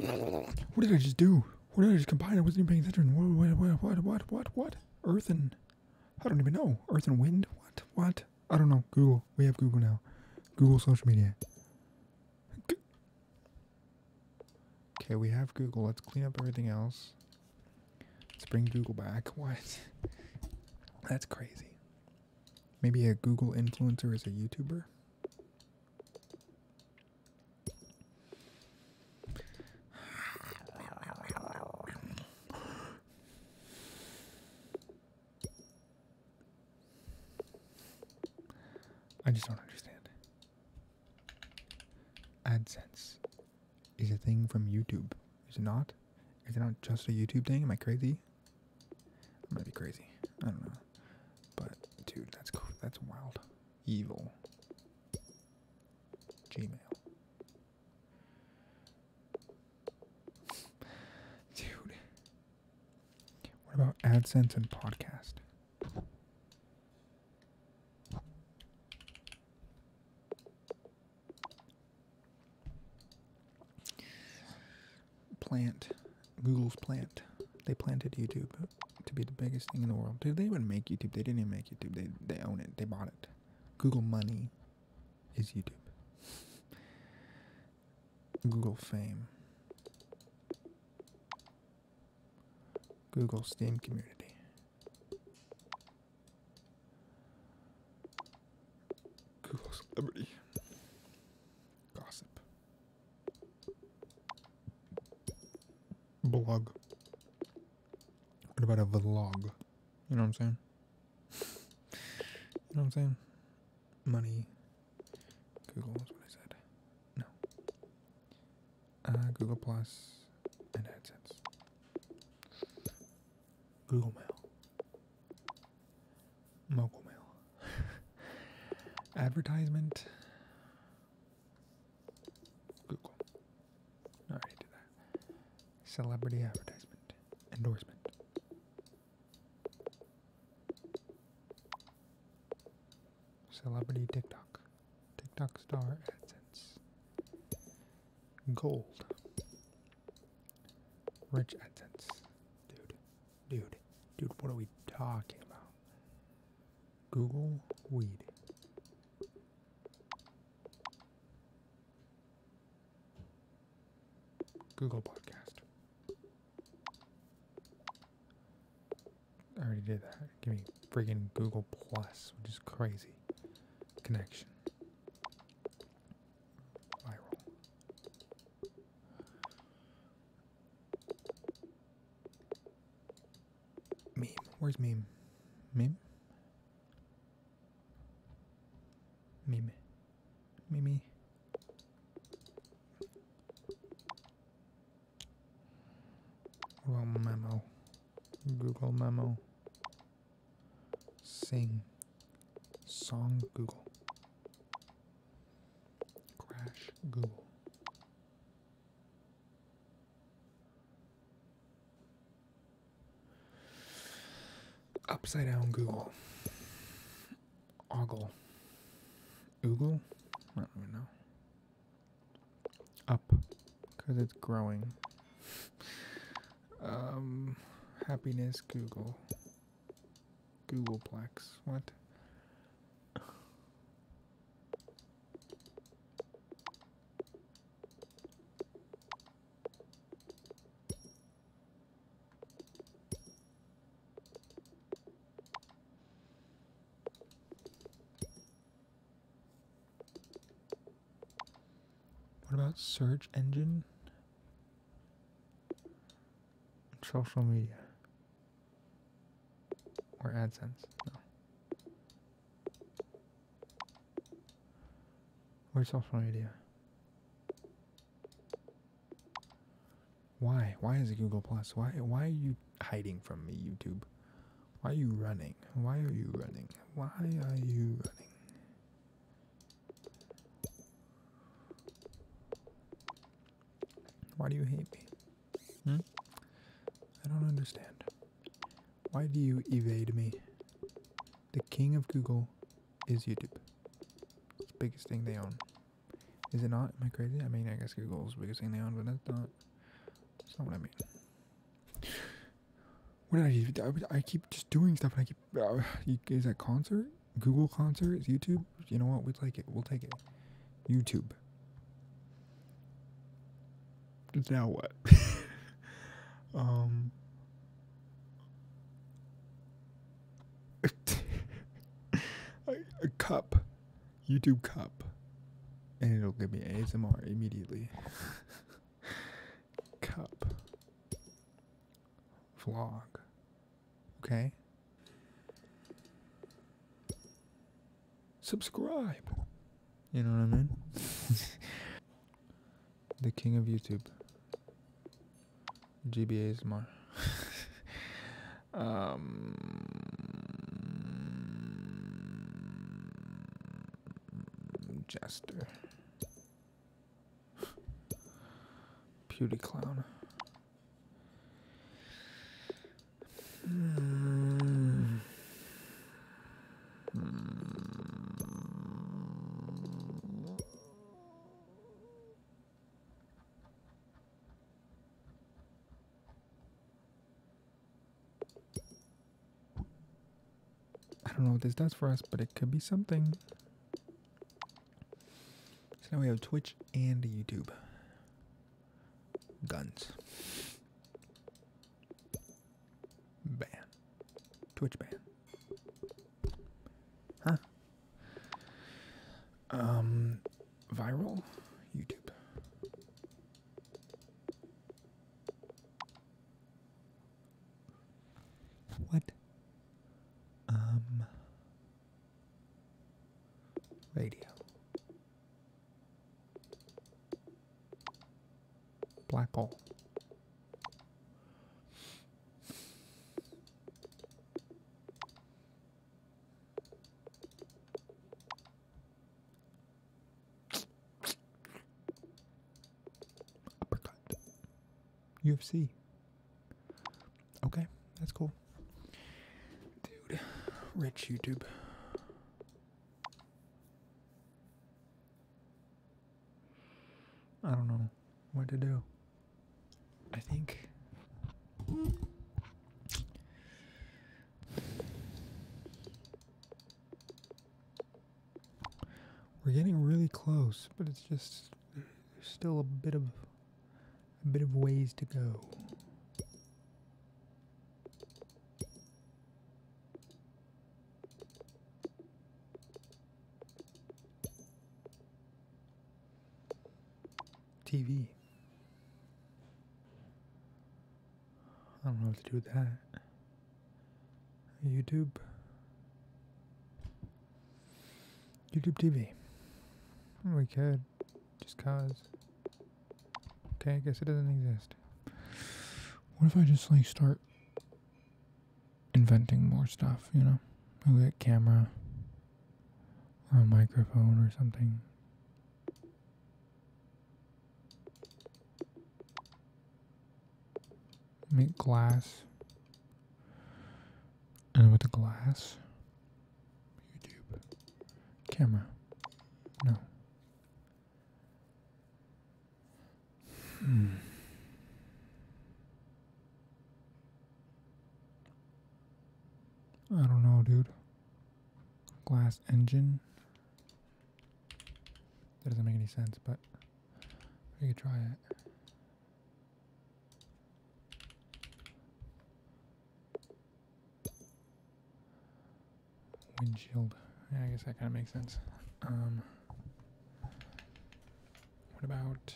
What did I just do? What did I just combine? I wasn't even paying attention. What, what, what, what, what, what? Earth and... I don't even know. Earth and wind? What? What? I don't know. Google. We have Google now. Google social media. Okay, we have Google. Let's clean up everything else. Let's bring Google back. What? That's crazy. Maybe a Google influencer is a YouTuber. I just don't understand. AdSense is a thing from YouTube, is it not? Is it not just a YouTube thing? Am I crazy? I might be crazy. I don't know. But dude, that's that's wild. Evil. Gmail. Dude. What about AdSense and podcast? Plant, Google's plant. They planted YouTube to be the biggest thing in the world. Dude, they even make YouTube. They didn't even make YouTube. They they own it. They bought it. Google money is YouTube. Google fame. Google Steam community. Cool celebrity. Gossip. Blog. What about a vlog? You know what I'm saying? you know what I'm saying? Money. Google is what I said. No. Uh, Google Plus and AdSense. Google Mail. Local mail. Advertisement. Google. I already did that. Celebrity advertisement. Endorsement. Celebrity TikTok. TikTok star AdSense. Gold. Rich AdSense. Dude. Dude, dude, what are we talking about? Google weed. Google podcast. I already did that. Give me friggin' Google Plus, which is crazy. Connection. Viral. Meme. Where's meme? Meme? Meme. Mimi. Google memo. Google memo. Sing. Song Google. Crash Google. Upside down Google. Ogle. Oogle? I don't even know. Up. Because it's growing. Um, happiness Google. Googleplex. What? What about search engine? Social media. Or AdSense. No. Where's social media? Why? Why is it Google Plus? Why why are you hiding from me, YouTube? Why are you running? Why are you running? Why are you running? Why do you hate me? Hmm? I don't understand. Why do you evade me? The king of Google is YouTube. It's the biggest thing they own. Is it not? Am I crazy? I mean, I guess Google's biggest thing they own, but that's not. That's not what I mean. What I do? I, I keep just doing stuff and I keep. Uh, is that concert? Google concert? YouTube? You know what? We'll take it. We'll take it. YouTube. Now what? um. a cup, YouTube cup, and it'll give me ASMR immediately. cup vlog. Okay? Subscribe. You know what I mean? the king of YouTube. GBA is more. um, Jester. Beauty clown. I don't know what this does for us, but it could be something. So now we have Twitch and YouTube. Guns. Ban. Twitch ban. Huh? Um, viral? YouTube. What? Um, Radio. Black hole. Uppercut. UFC. Okay, that's cool. Dude, rich YouTube. I don't know what to do. I think. We're getting really close, but it's just there's still a bit of a bit of ways to go. TV. I don't know how to do that. YouTube. YouTube TV. We could. Just cause. Okay, I guess it doesn't exist. What if I just like start inventing more stuff, you know? Like a camera or a microphone or something. Make glass. And with the glass, YouTube, camera, no. Hmm. I don't know, dude. Glass engine. That doesn't make any sense, but we could try it. Windshield. Yeah, I guess that kind of makes sense. Um, what about...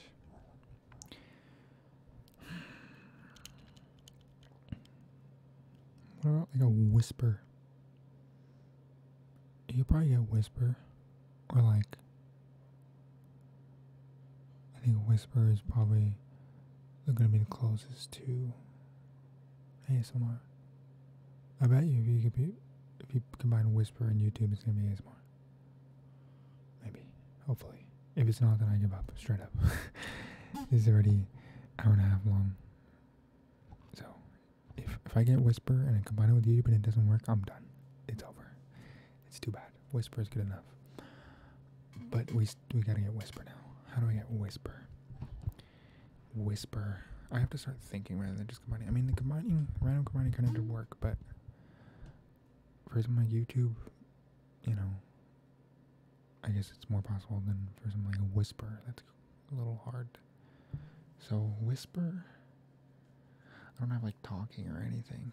What about like a whisper? You probably get whisper or like I think whisper is probably going to be the closest to ASMR. I bet you if you combine whisper and YouTube, it's going to be ASMR. Maybe, hopefully. If it's not, then I give up straight up. this already hour and a half long. So, if if I get whisper and I combine it with YouTube and it doesn't work, I'm done. It's over. It's too bad. Whisper is good enough. But we we gotta get whisper now. How do I get whisper? Whisper. I have to start thinking rather than just combining. I mean, the combining, random combining kind of did work, but for some like YouTube, you know, I guess it's more possible than for some like a whisper. That's a little hard. So whisper. I don't have like talking or anything.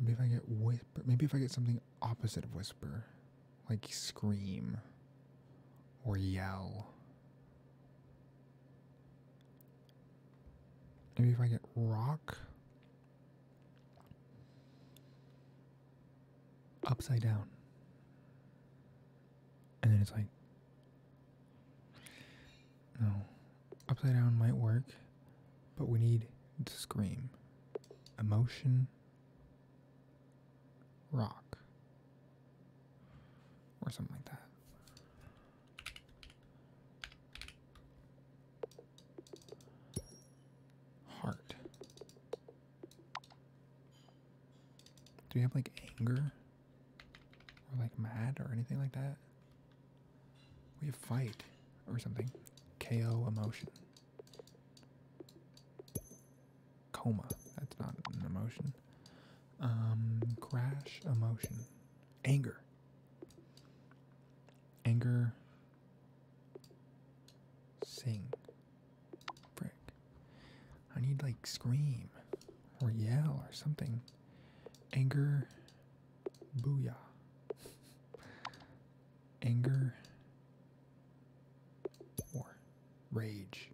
Maybe if I get whisper, maybe if I get something opposite of whisper, like scream or yell. Maybe if I get rock upside down. And then it's like, no, Upside down might work, but we need to scream. Emotion. Rock. Or something like that. Heart. Do we have like anger? Or like mad or anything like that? We have fight or something. KO emotion. Coma. That's not an emotion. Um, crash emotion. Anger. Anger. Sing. Frick. I need like scream or yell or something. Anger Booyah. Anger. War. Rage.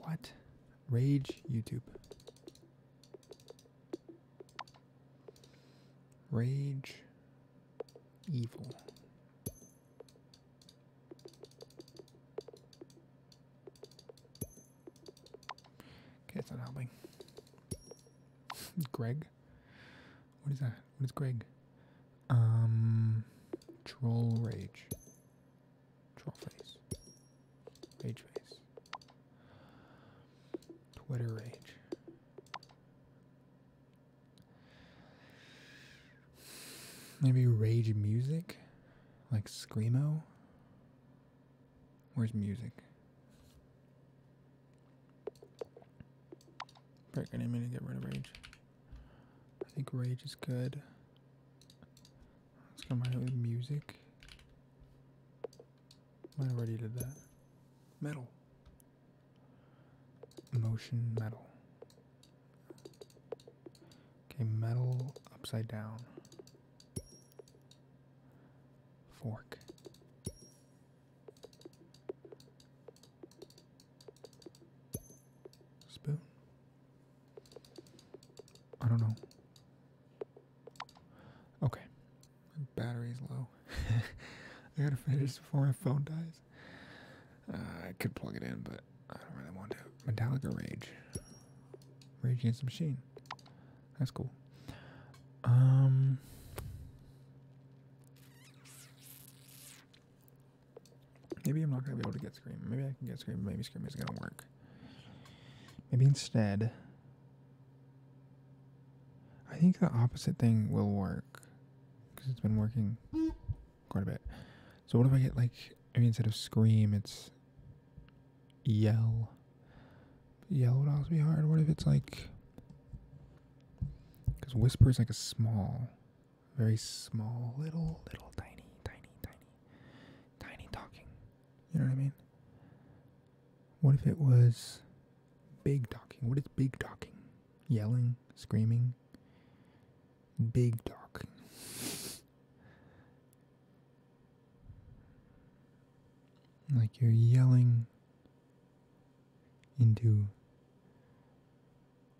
What? Rage YouTube. Rage. Evil. Okay, it's not helping. Greg? What is that? What is Greg? Um, troll rage. Troll face. Rage face. Twitter rage. Maybe rage music? Like Screamo? Where's music? Break any minute, get rid of rage. I think rage is good. Let's combine it with music. I already did that. Metal. Motion metal. Okay, metal upside down. Fork. Spoon. I don't know. Okay. My battery's low. I gotta finish before my phone dies. Uh, I could plug it in, but I don't really want to. Metallica Rage. Rage Against the Machine. That's cool. Um. Maybe I'm not gonna be able to get Scream. Maybe I can get Scream. Maybe Scream is gonna work. Maybe instead, I think the opposite thing will work because it's been working quite a bit. So what if I get like? I mean, instead of Scream, it's yell. Yell would also be hard. What if it's like. Because whisper is like a small, very small, little, little, tiny, tiny, tiny, tiny talking. You know what I mean? What if it was big talking? What is big talking? Yelling, screaming, big talking. Like you're yelling into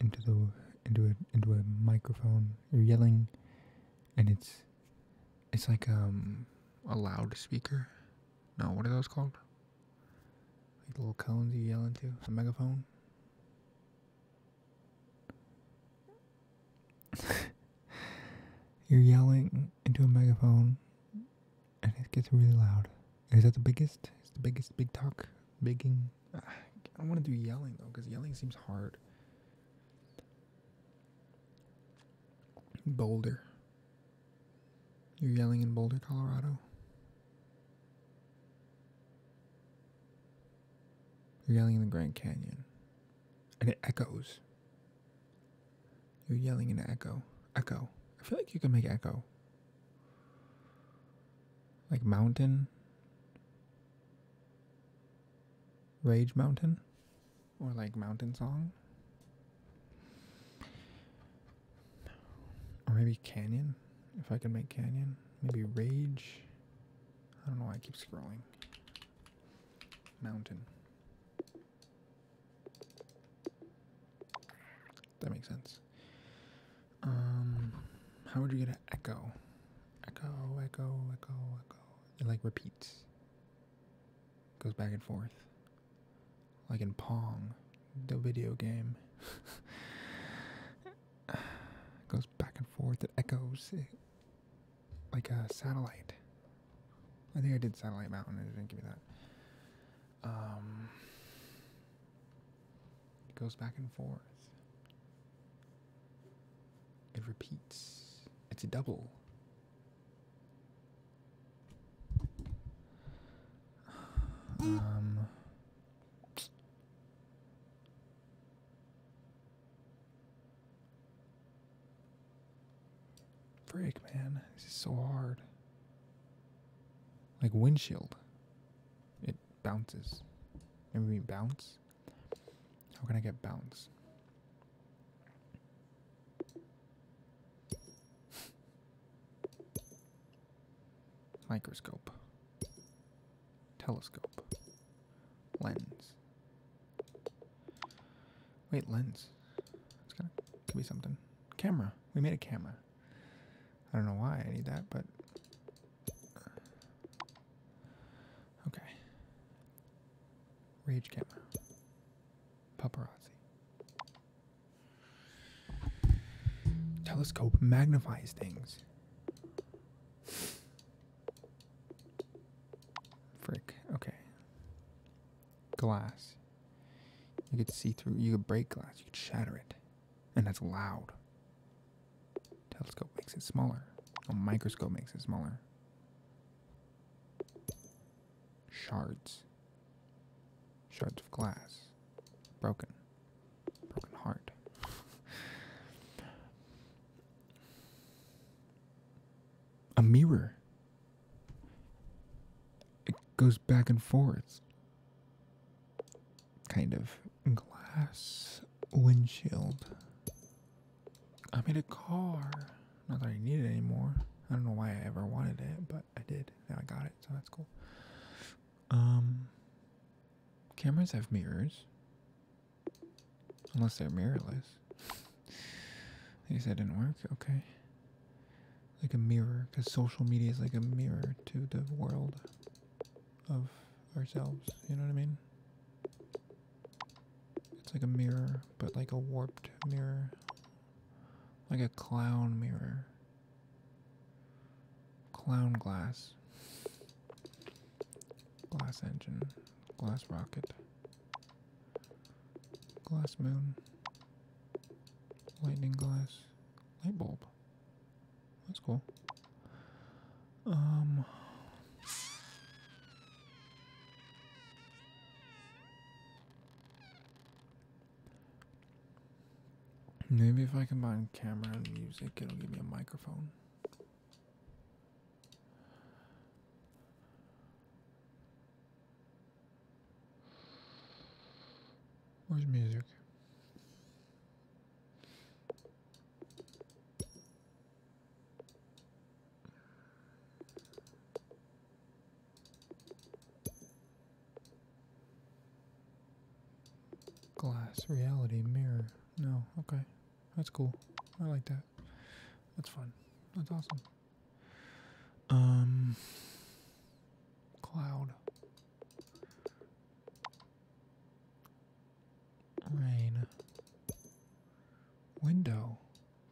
into the into a into a microphone. You're yelling and it's it's like um, a loudspeaker. No, what are those called? little cones you yell into? A megaphone? You're yelling into a megaphone and it gets really loud. Is that the biggest? It's the biggest big talk? Bigging? Ah, I don't want to do yelling though because yelling seems hard. Boulder. You're yelling in Boulder, Colorado. You're yelling in the Grand Canyon and it echoes. You're yelling in an echo. Echo. I feel like you can make echo. Like mountain. Rage Mountain. Or like Mountain Song. Or maybe Canyon. If I can make Canyon. Maybe Rage. I don't know why I keep scrolling mountain. That makes sense. Um, how would you get an echo? Echo, echo, echo, echo. It like repeats. Goes back and forth. Like in Pong, the video game. goes back and forth. It echoes like a satellite. I think I did Satellite Mountain it didn't give me that. Um, it goes back and forth. It repeats. It's a double. Um, Frick, man. This is so hard. Like windshield. It bounces. Maybe bounce? How can I get bounce? Microscope. Telescope. Lens. Wait, lens. It's gonna could be something. Camera. We made a camera. I don't know why I need that, but okay. Rage camera. Paparazzi. Telescope magnifies things. Frick. Okay. Glass. You could see through. You could break glass. You could shatter it, and that's loud. Telescope makes it smaller. A microscope makes it smaller. Shards. Shards of glass. Broken. Broken heart. a mirror. It goes back and forth. Kind of glass windshield. I made a car. Not that I need it anymore. I don't know why I ever wanted it, but I did. Now I got it, so that's cool. Um, cameras have mirrors. Unless they're mirrorless. These that didn't work. Okay. Like a mirror, because social media is like a mirror to the world of ourselves. You know what I mean? It's like a mirror, but like a warped mirror. Like a clown mirror. Clown glass glass engine, glass rocket, glass moon, lightning glass, light bulb. That's cool. Um. Maybe if I combine camera and music, it'll give me a microphone. Where's music? Glass, reality, mirror. No, okay. That's cool. I like that. That's fun. That's awesome. Um, cloud, rain, window,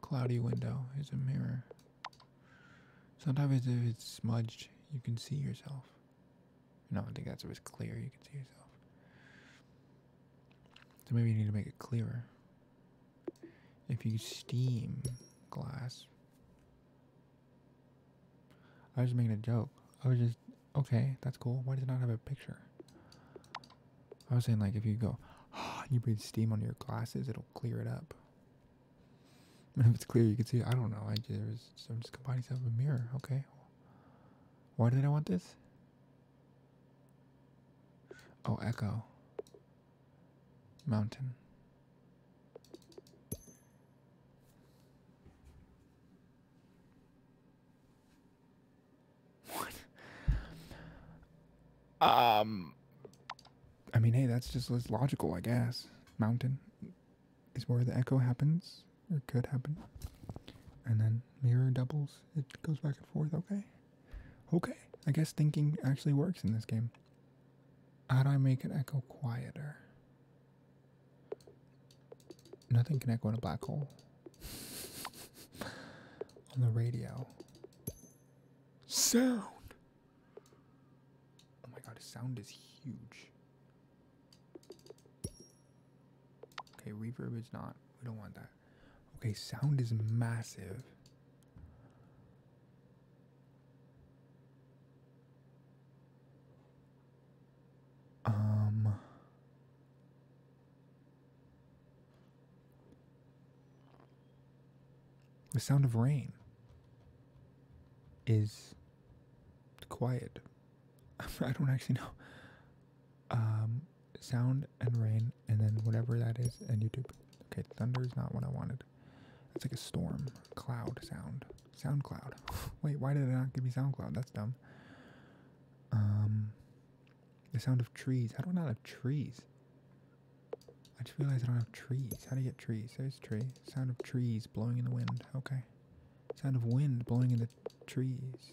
cloudy window is a mirror. Sometimes if it's smudged, you can see yourself. No, I think that's if it's clear, you can see yourself. So maybe you need to make it clearer. If you steam glass, I was just making a joke. I was just okay. That's cool. Why does it not have a picture? I was saying like if you go, oh, you breathe steam on your glasses, it'll clear it up. And if it's clear, you can see. I don't know. I just I'm just combining stuff with a mirror. Okay. Why did I want this? Oh, Echo. Mountain. What? Um. I mean, hey, that's just as logical, I guess. Mountain is where the echo happens, or could happen. And then mirror doubles, it goes back and forth, okay? Okay, I guess thinking actually works in this game. How do I make an echo quieter? Nothing can echo in a black hole. On the radio. Sound! Oh my god, sound is huge. Okay, reverb is not. We don't want that. Okay, sound is massive. Um the sound of rain is quiet. I don't actually know. Um sound and rain, and then whatever that is, and YouTube. Okay, thunder is not what I wanted. That's like a storm, cloud sound, SoundCloud. Wait, why did it not give me SoundCloud? That's dumb. Um, the sound of trees. How do I not have trees? I just realized I don't have trees. How do you get trees? There's trees. Sound of trees blowing in the wind. Okay. Sound of wind blowing in the trees.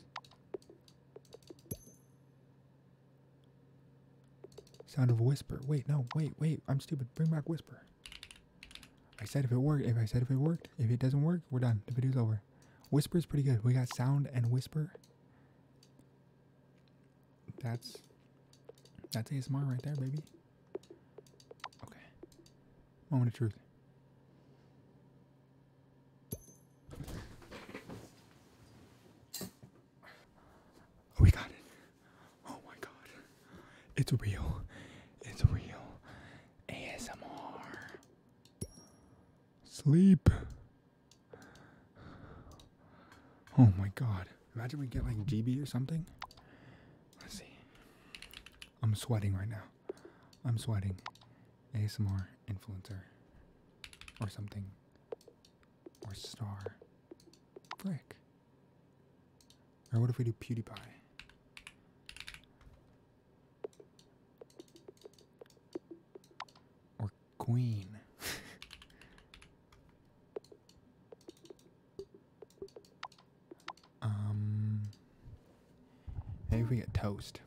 Sound of a whisper. Wait, no, wait, wait. I'm stupid. Bring back whisper. I said if it worked, if I said if it worked, if it doesn't work, we're done. The video's over. Whisper is pretty good. We got sound and whisper. That's that's ASMR right there, baby. Okay. Moment of truth. We got it. Oh my god. It's real. It's real. ASMR. Sleep. Oh my god. Imagine we get like GB or something. Let's see. I'm sweating right now. I'm sweating. ASMR influencer or something. Or star. Brick. Or what if we do PewDiePie? Or queen. um, maybe we get toast.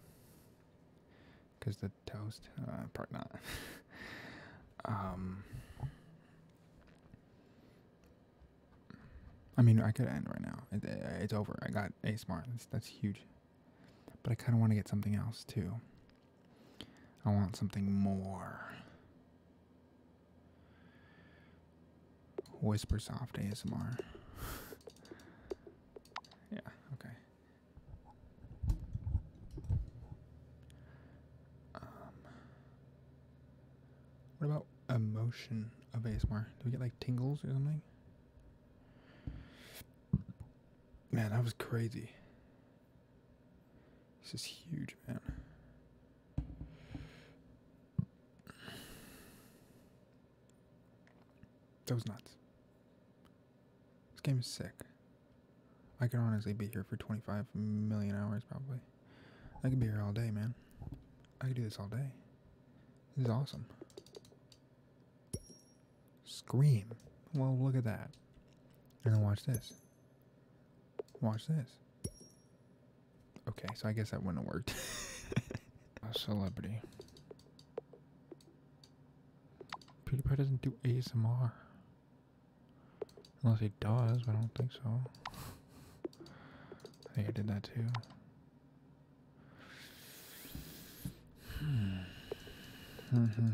Because the toast? Uh, probably not. um, I mean, I could end right now. it's over. I got a that's huge. But I kind of want to get something else too. I want something more. Whisper soft ASMR. yeah. Okay. Um, what about emotion of ASMR? Do we get like tingles or something? Man, that was crazy. This is huge, man. That was nuts. This game is sick. I could honestly be here for 25 million hours, probably. I could be here all day, man. I could do this all day. This is awesome. Scream. Well, look at that. And then watch this. Watch this. Okay, so I guess that wouldn't have worked. A celebrity. PewDiePie doesn't do ASMR. Unless he does, but I don't think so. I think I did that too. Hmm.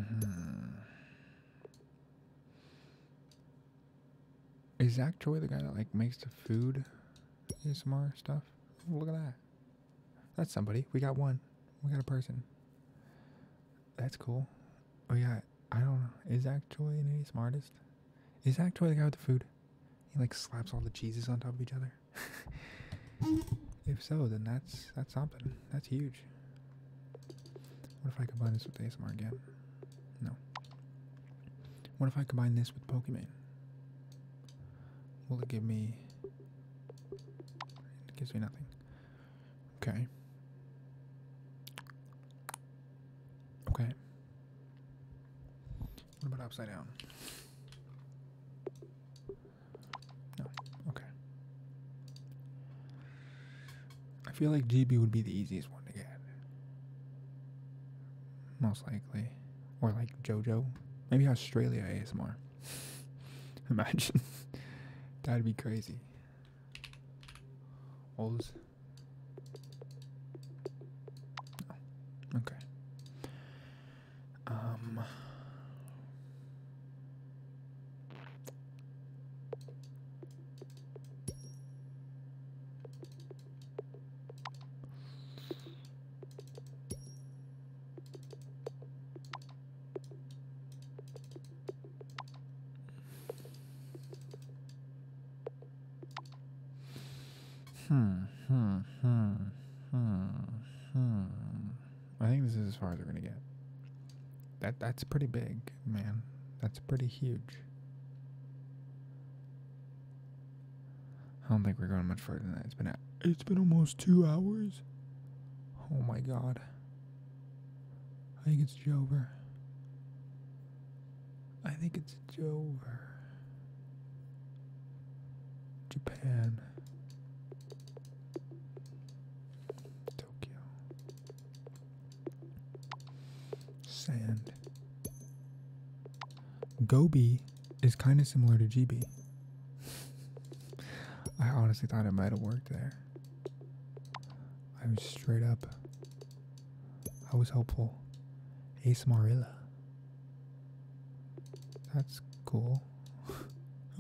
Is Zach Troy the guy that like makes the food ASMR stuff? look at that. That's somebody. We got one. We got a person. That's cool. We oh, got I don't know. Is actually an ASM artist? Is actually the guy with the food? He like slaps all the cheeses on top of each other. if so, then that's that's something. That's huge. What if I combine this with ASMR again? No. What if I combine this with Pokemon? Will it give me? It gives me nothing. Okay. Okay. What about upside down? No. Okay. I feel like GB would be the easiest one to get. Most likely. Or like JoJo. Maybe Australia ASMR. Imagine. That'd be crazy. Walls. Oh, okay. Um. Hmm, hmm, hmm, hmm, hmm. I think this is as far as we're gonna get. That that's pretty big, man. That's pretty huge. I don't think we're going much further than that. It's been it's been almost two hours. Oh my god. I think it's Jover. I think it's Jover. Japan. Tokyo. Sand. Gobi is kind of similar to GB. I honestly thought it might have worked there. I was straight up. I was helpful. Ace Marilla. That's cool.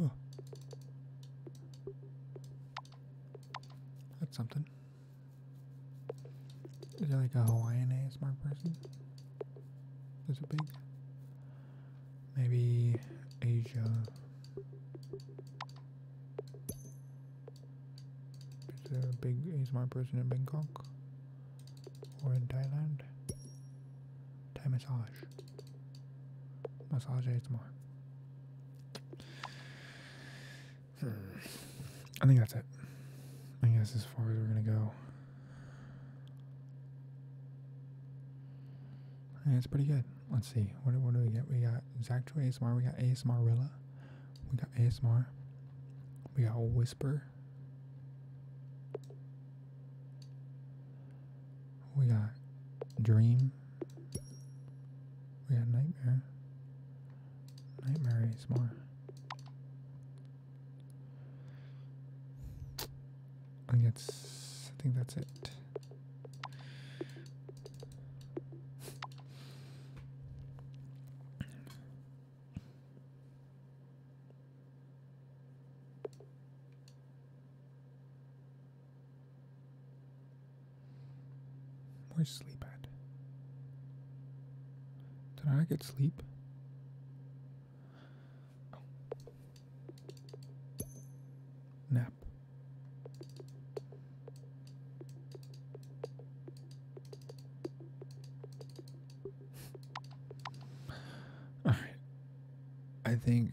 That's something. Is there like a Hawaiian ASMR person? Is it big? Maybe Asia. Is there a big a smart person in Bangkok or in Thailand? Thai massage. Massage is Hmm. I think that's it. I guess as far as we're gonna go. Yeah, it's pretty good let's see, what, do we get? We got Zach2 ASMR, we got ASMR Rilla, we got ASMR, we got Whisper, we got Dream, we got Nightmare, Nightmare is more. I think that's, I think that's it. Where's sleep at? Did I get sleep? Nap. All right. I think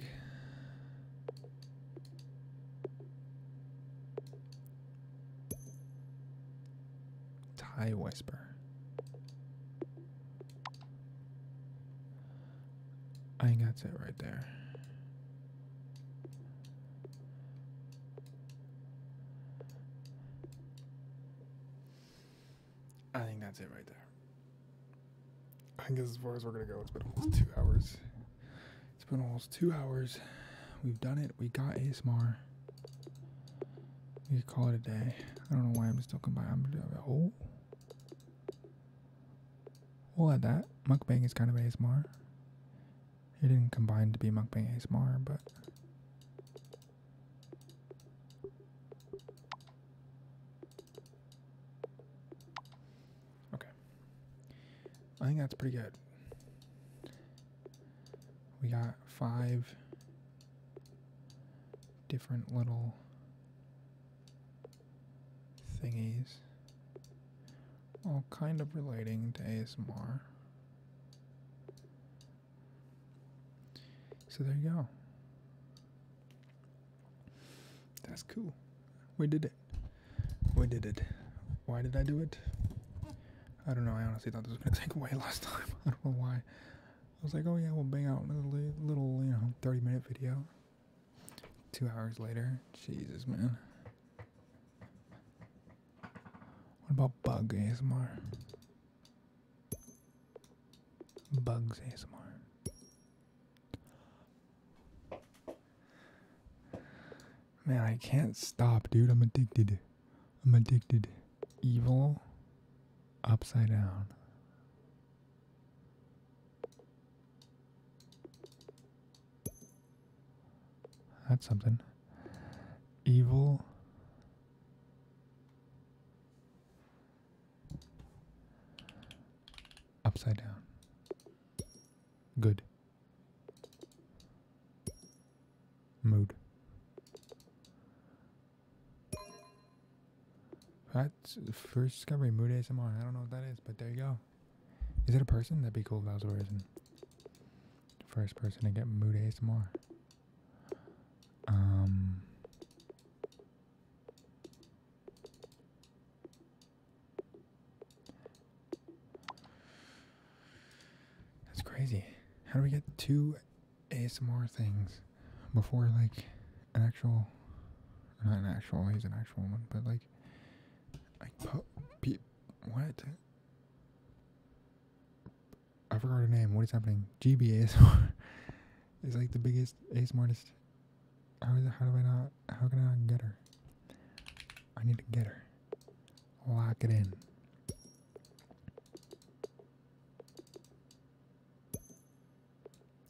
Tie Whisper. I think that's it right there. I think that's it right there. I think as far as we're gonna go. It's been almost two hours. It's been almost two hours. We've done it. We got ASMR. We call it a day. I don't know why I'm still combined. I'm oh. We'll add that. Mukbang is kind of ASMR. He didn't combine to be monk mukbang ASMR, but okay. I think that's pretty good. We got five different little thingies all kind of relating to ASMR. So there you go. That's cool. We did it. We did it. Why did I do it? I don't know. I honestly thought this was going to take away last time. I don't know why. I was like, oh yeah, we'll bang out another little, you know, 30 minute video. Two hours later. Jesus, man. What about bug ASMR? Bugs ASMR. Man, I can't stop, dude. I'm addicted. I'm addicted. Evil upside down. That's something. Evil. Upside down. Good. Mood. That's first discovery, mood ASMR. I don't know what that is, but there you go. Is it a person? That'd be cool if that was a person. First person to get mood ASMR. Um. That's crazy. How do we get two ASMR things before like an actual, not an actual, he's an actual one, but like, like, pe- what? I forgot her name. What is happening? GBA is like the biggest ASMR artist. How is it? How do I not? How can I not get her? I need to get her. Lock it in.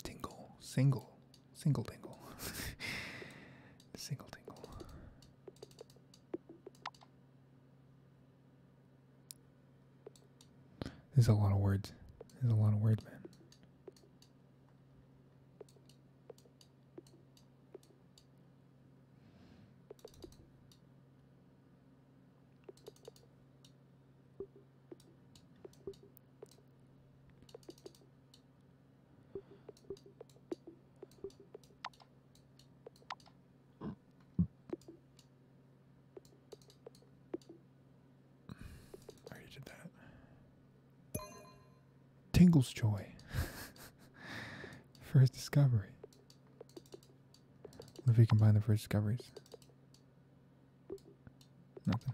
Tingle, single, single tingle, single tingle. There's a lot of words. There's a lot of words, man. I already did that. Tingle's Joy. first discovery. if we combine the first discoveries? Nothing.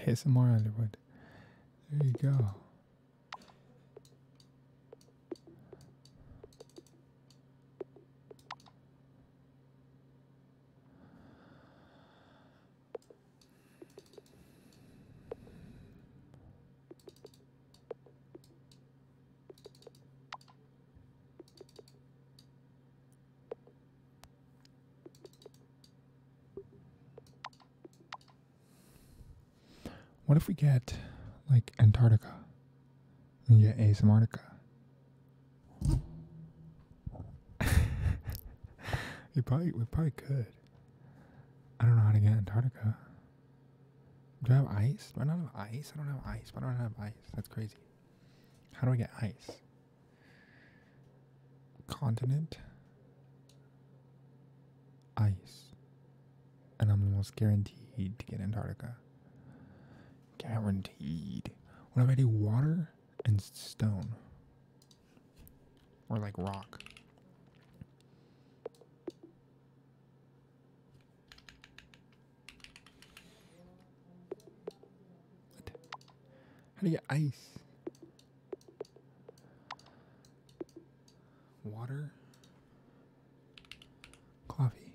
Here's more Underwood. There you go. What if we get like Antarctica? We get Asamartica. we probably we probably could. I don't know how to get Antarctica. Do I have ice? Do not have ice? I don't have ice. Why don't I have ice? That's crazy. How do I get ice? Continent. Ice. And I'm almost guaranteed to get Antarctica. Guaranteed. What if I do water and stone? Or like rock? What? How do you get ice? Water. Coffee.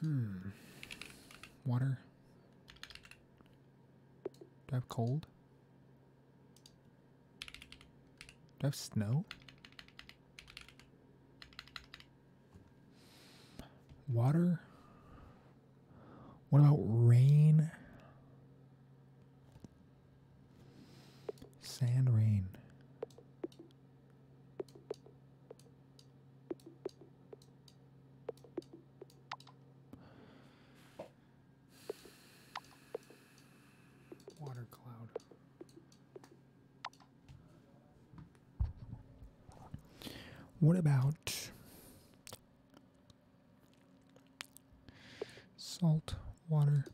Hmm. Water. Do I have cold? Do I have snow? Water? What about rain? Sand rain. Water cloud. What about salt water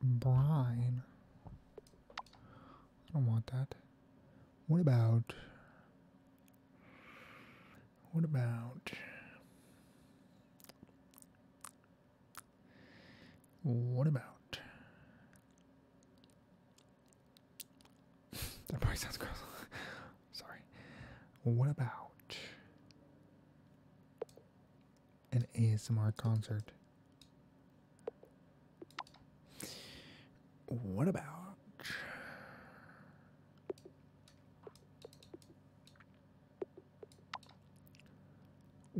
brine? I don't want that. What about what about what about that probably sounds gross. Sorry. What about an ASMR concert? What about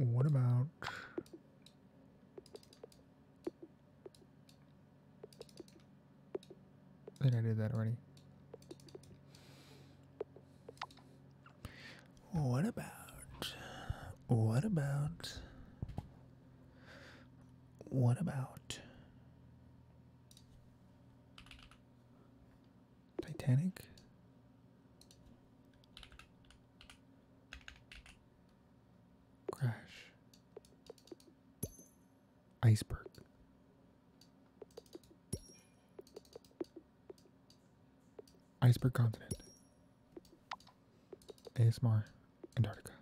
what about Wait, I did that already. What about? What about? What about? Titanic? Crash. Iceberg. Iceberg continent. ASMR Antarctica.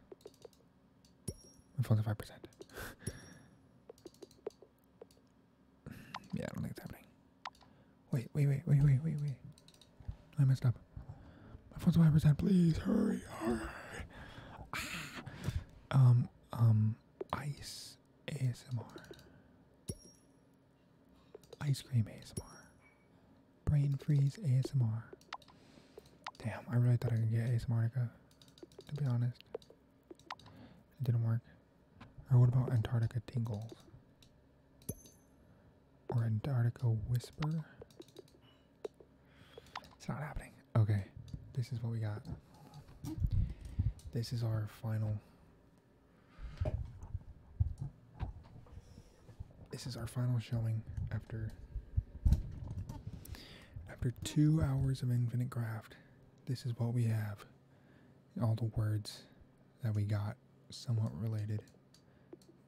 My phone's at percent. yeah, I don't think it's happening. Wait, wait, wait, wait, wait, wait, wait. I messed up. My phone's 100%. Please hurry, ah. Um, um, ice ASMR. Ice cream ASMR. Brain freeze ASMR. Damn, I really thought I could get ASMRica, to be honest. It didn't work. Or what about Antarctica Tingles? Or Antarctica Whisper? It's not happening. Okay, this is what we got. This is our final. This is our final showing after after two hours of infinite craft. This is what we have. All the words that we got somewhat related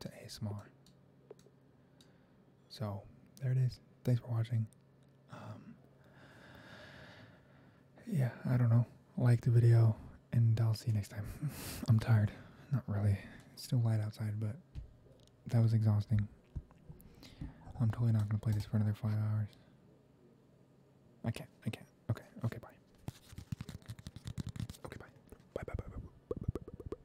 to ASMR. So there it is. Thanks for watching. Um, yeah, I don't know. Like the video, and I'll see you next time. I'm tired. Not really. It's still light outside, but that was exhausting. I'm totally not going to play this for another five hours. I can't. I can't. Okay. Okay. Bye. Okay. Bye. Bye. Bye. Bye. bye, bye, bye.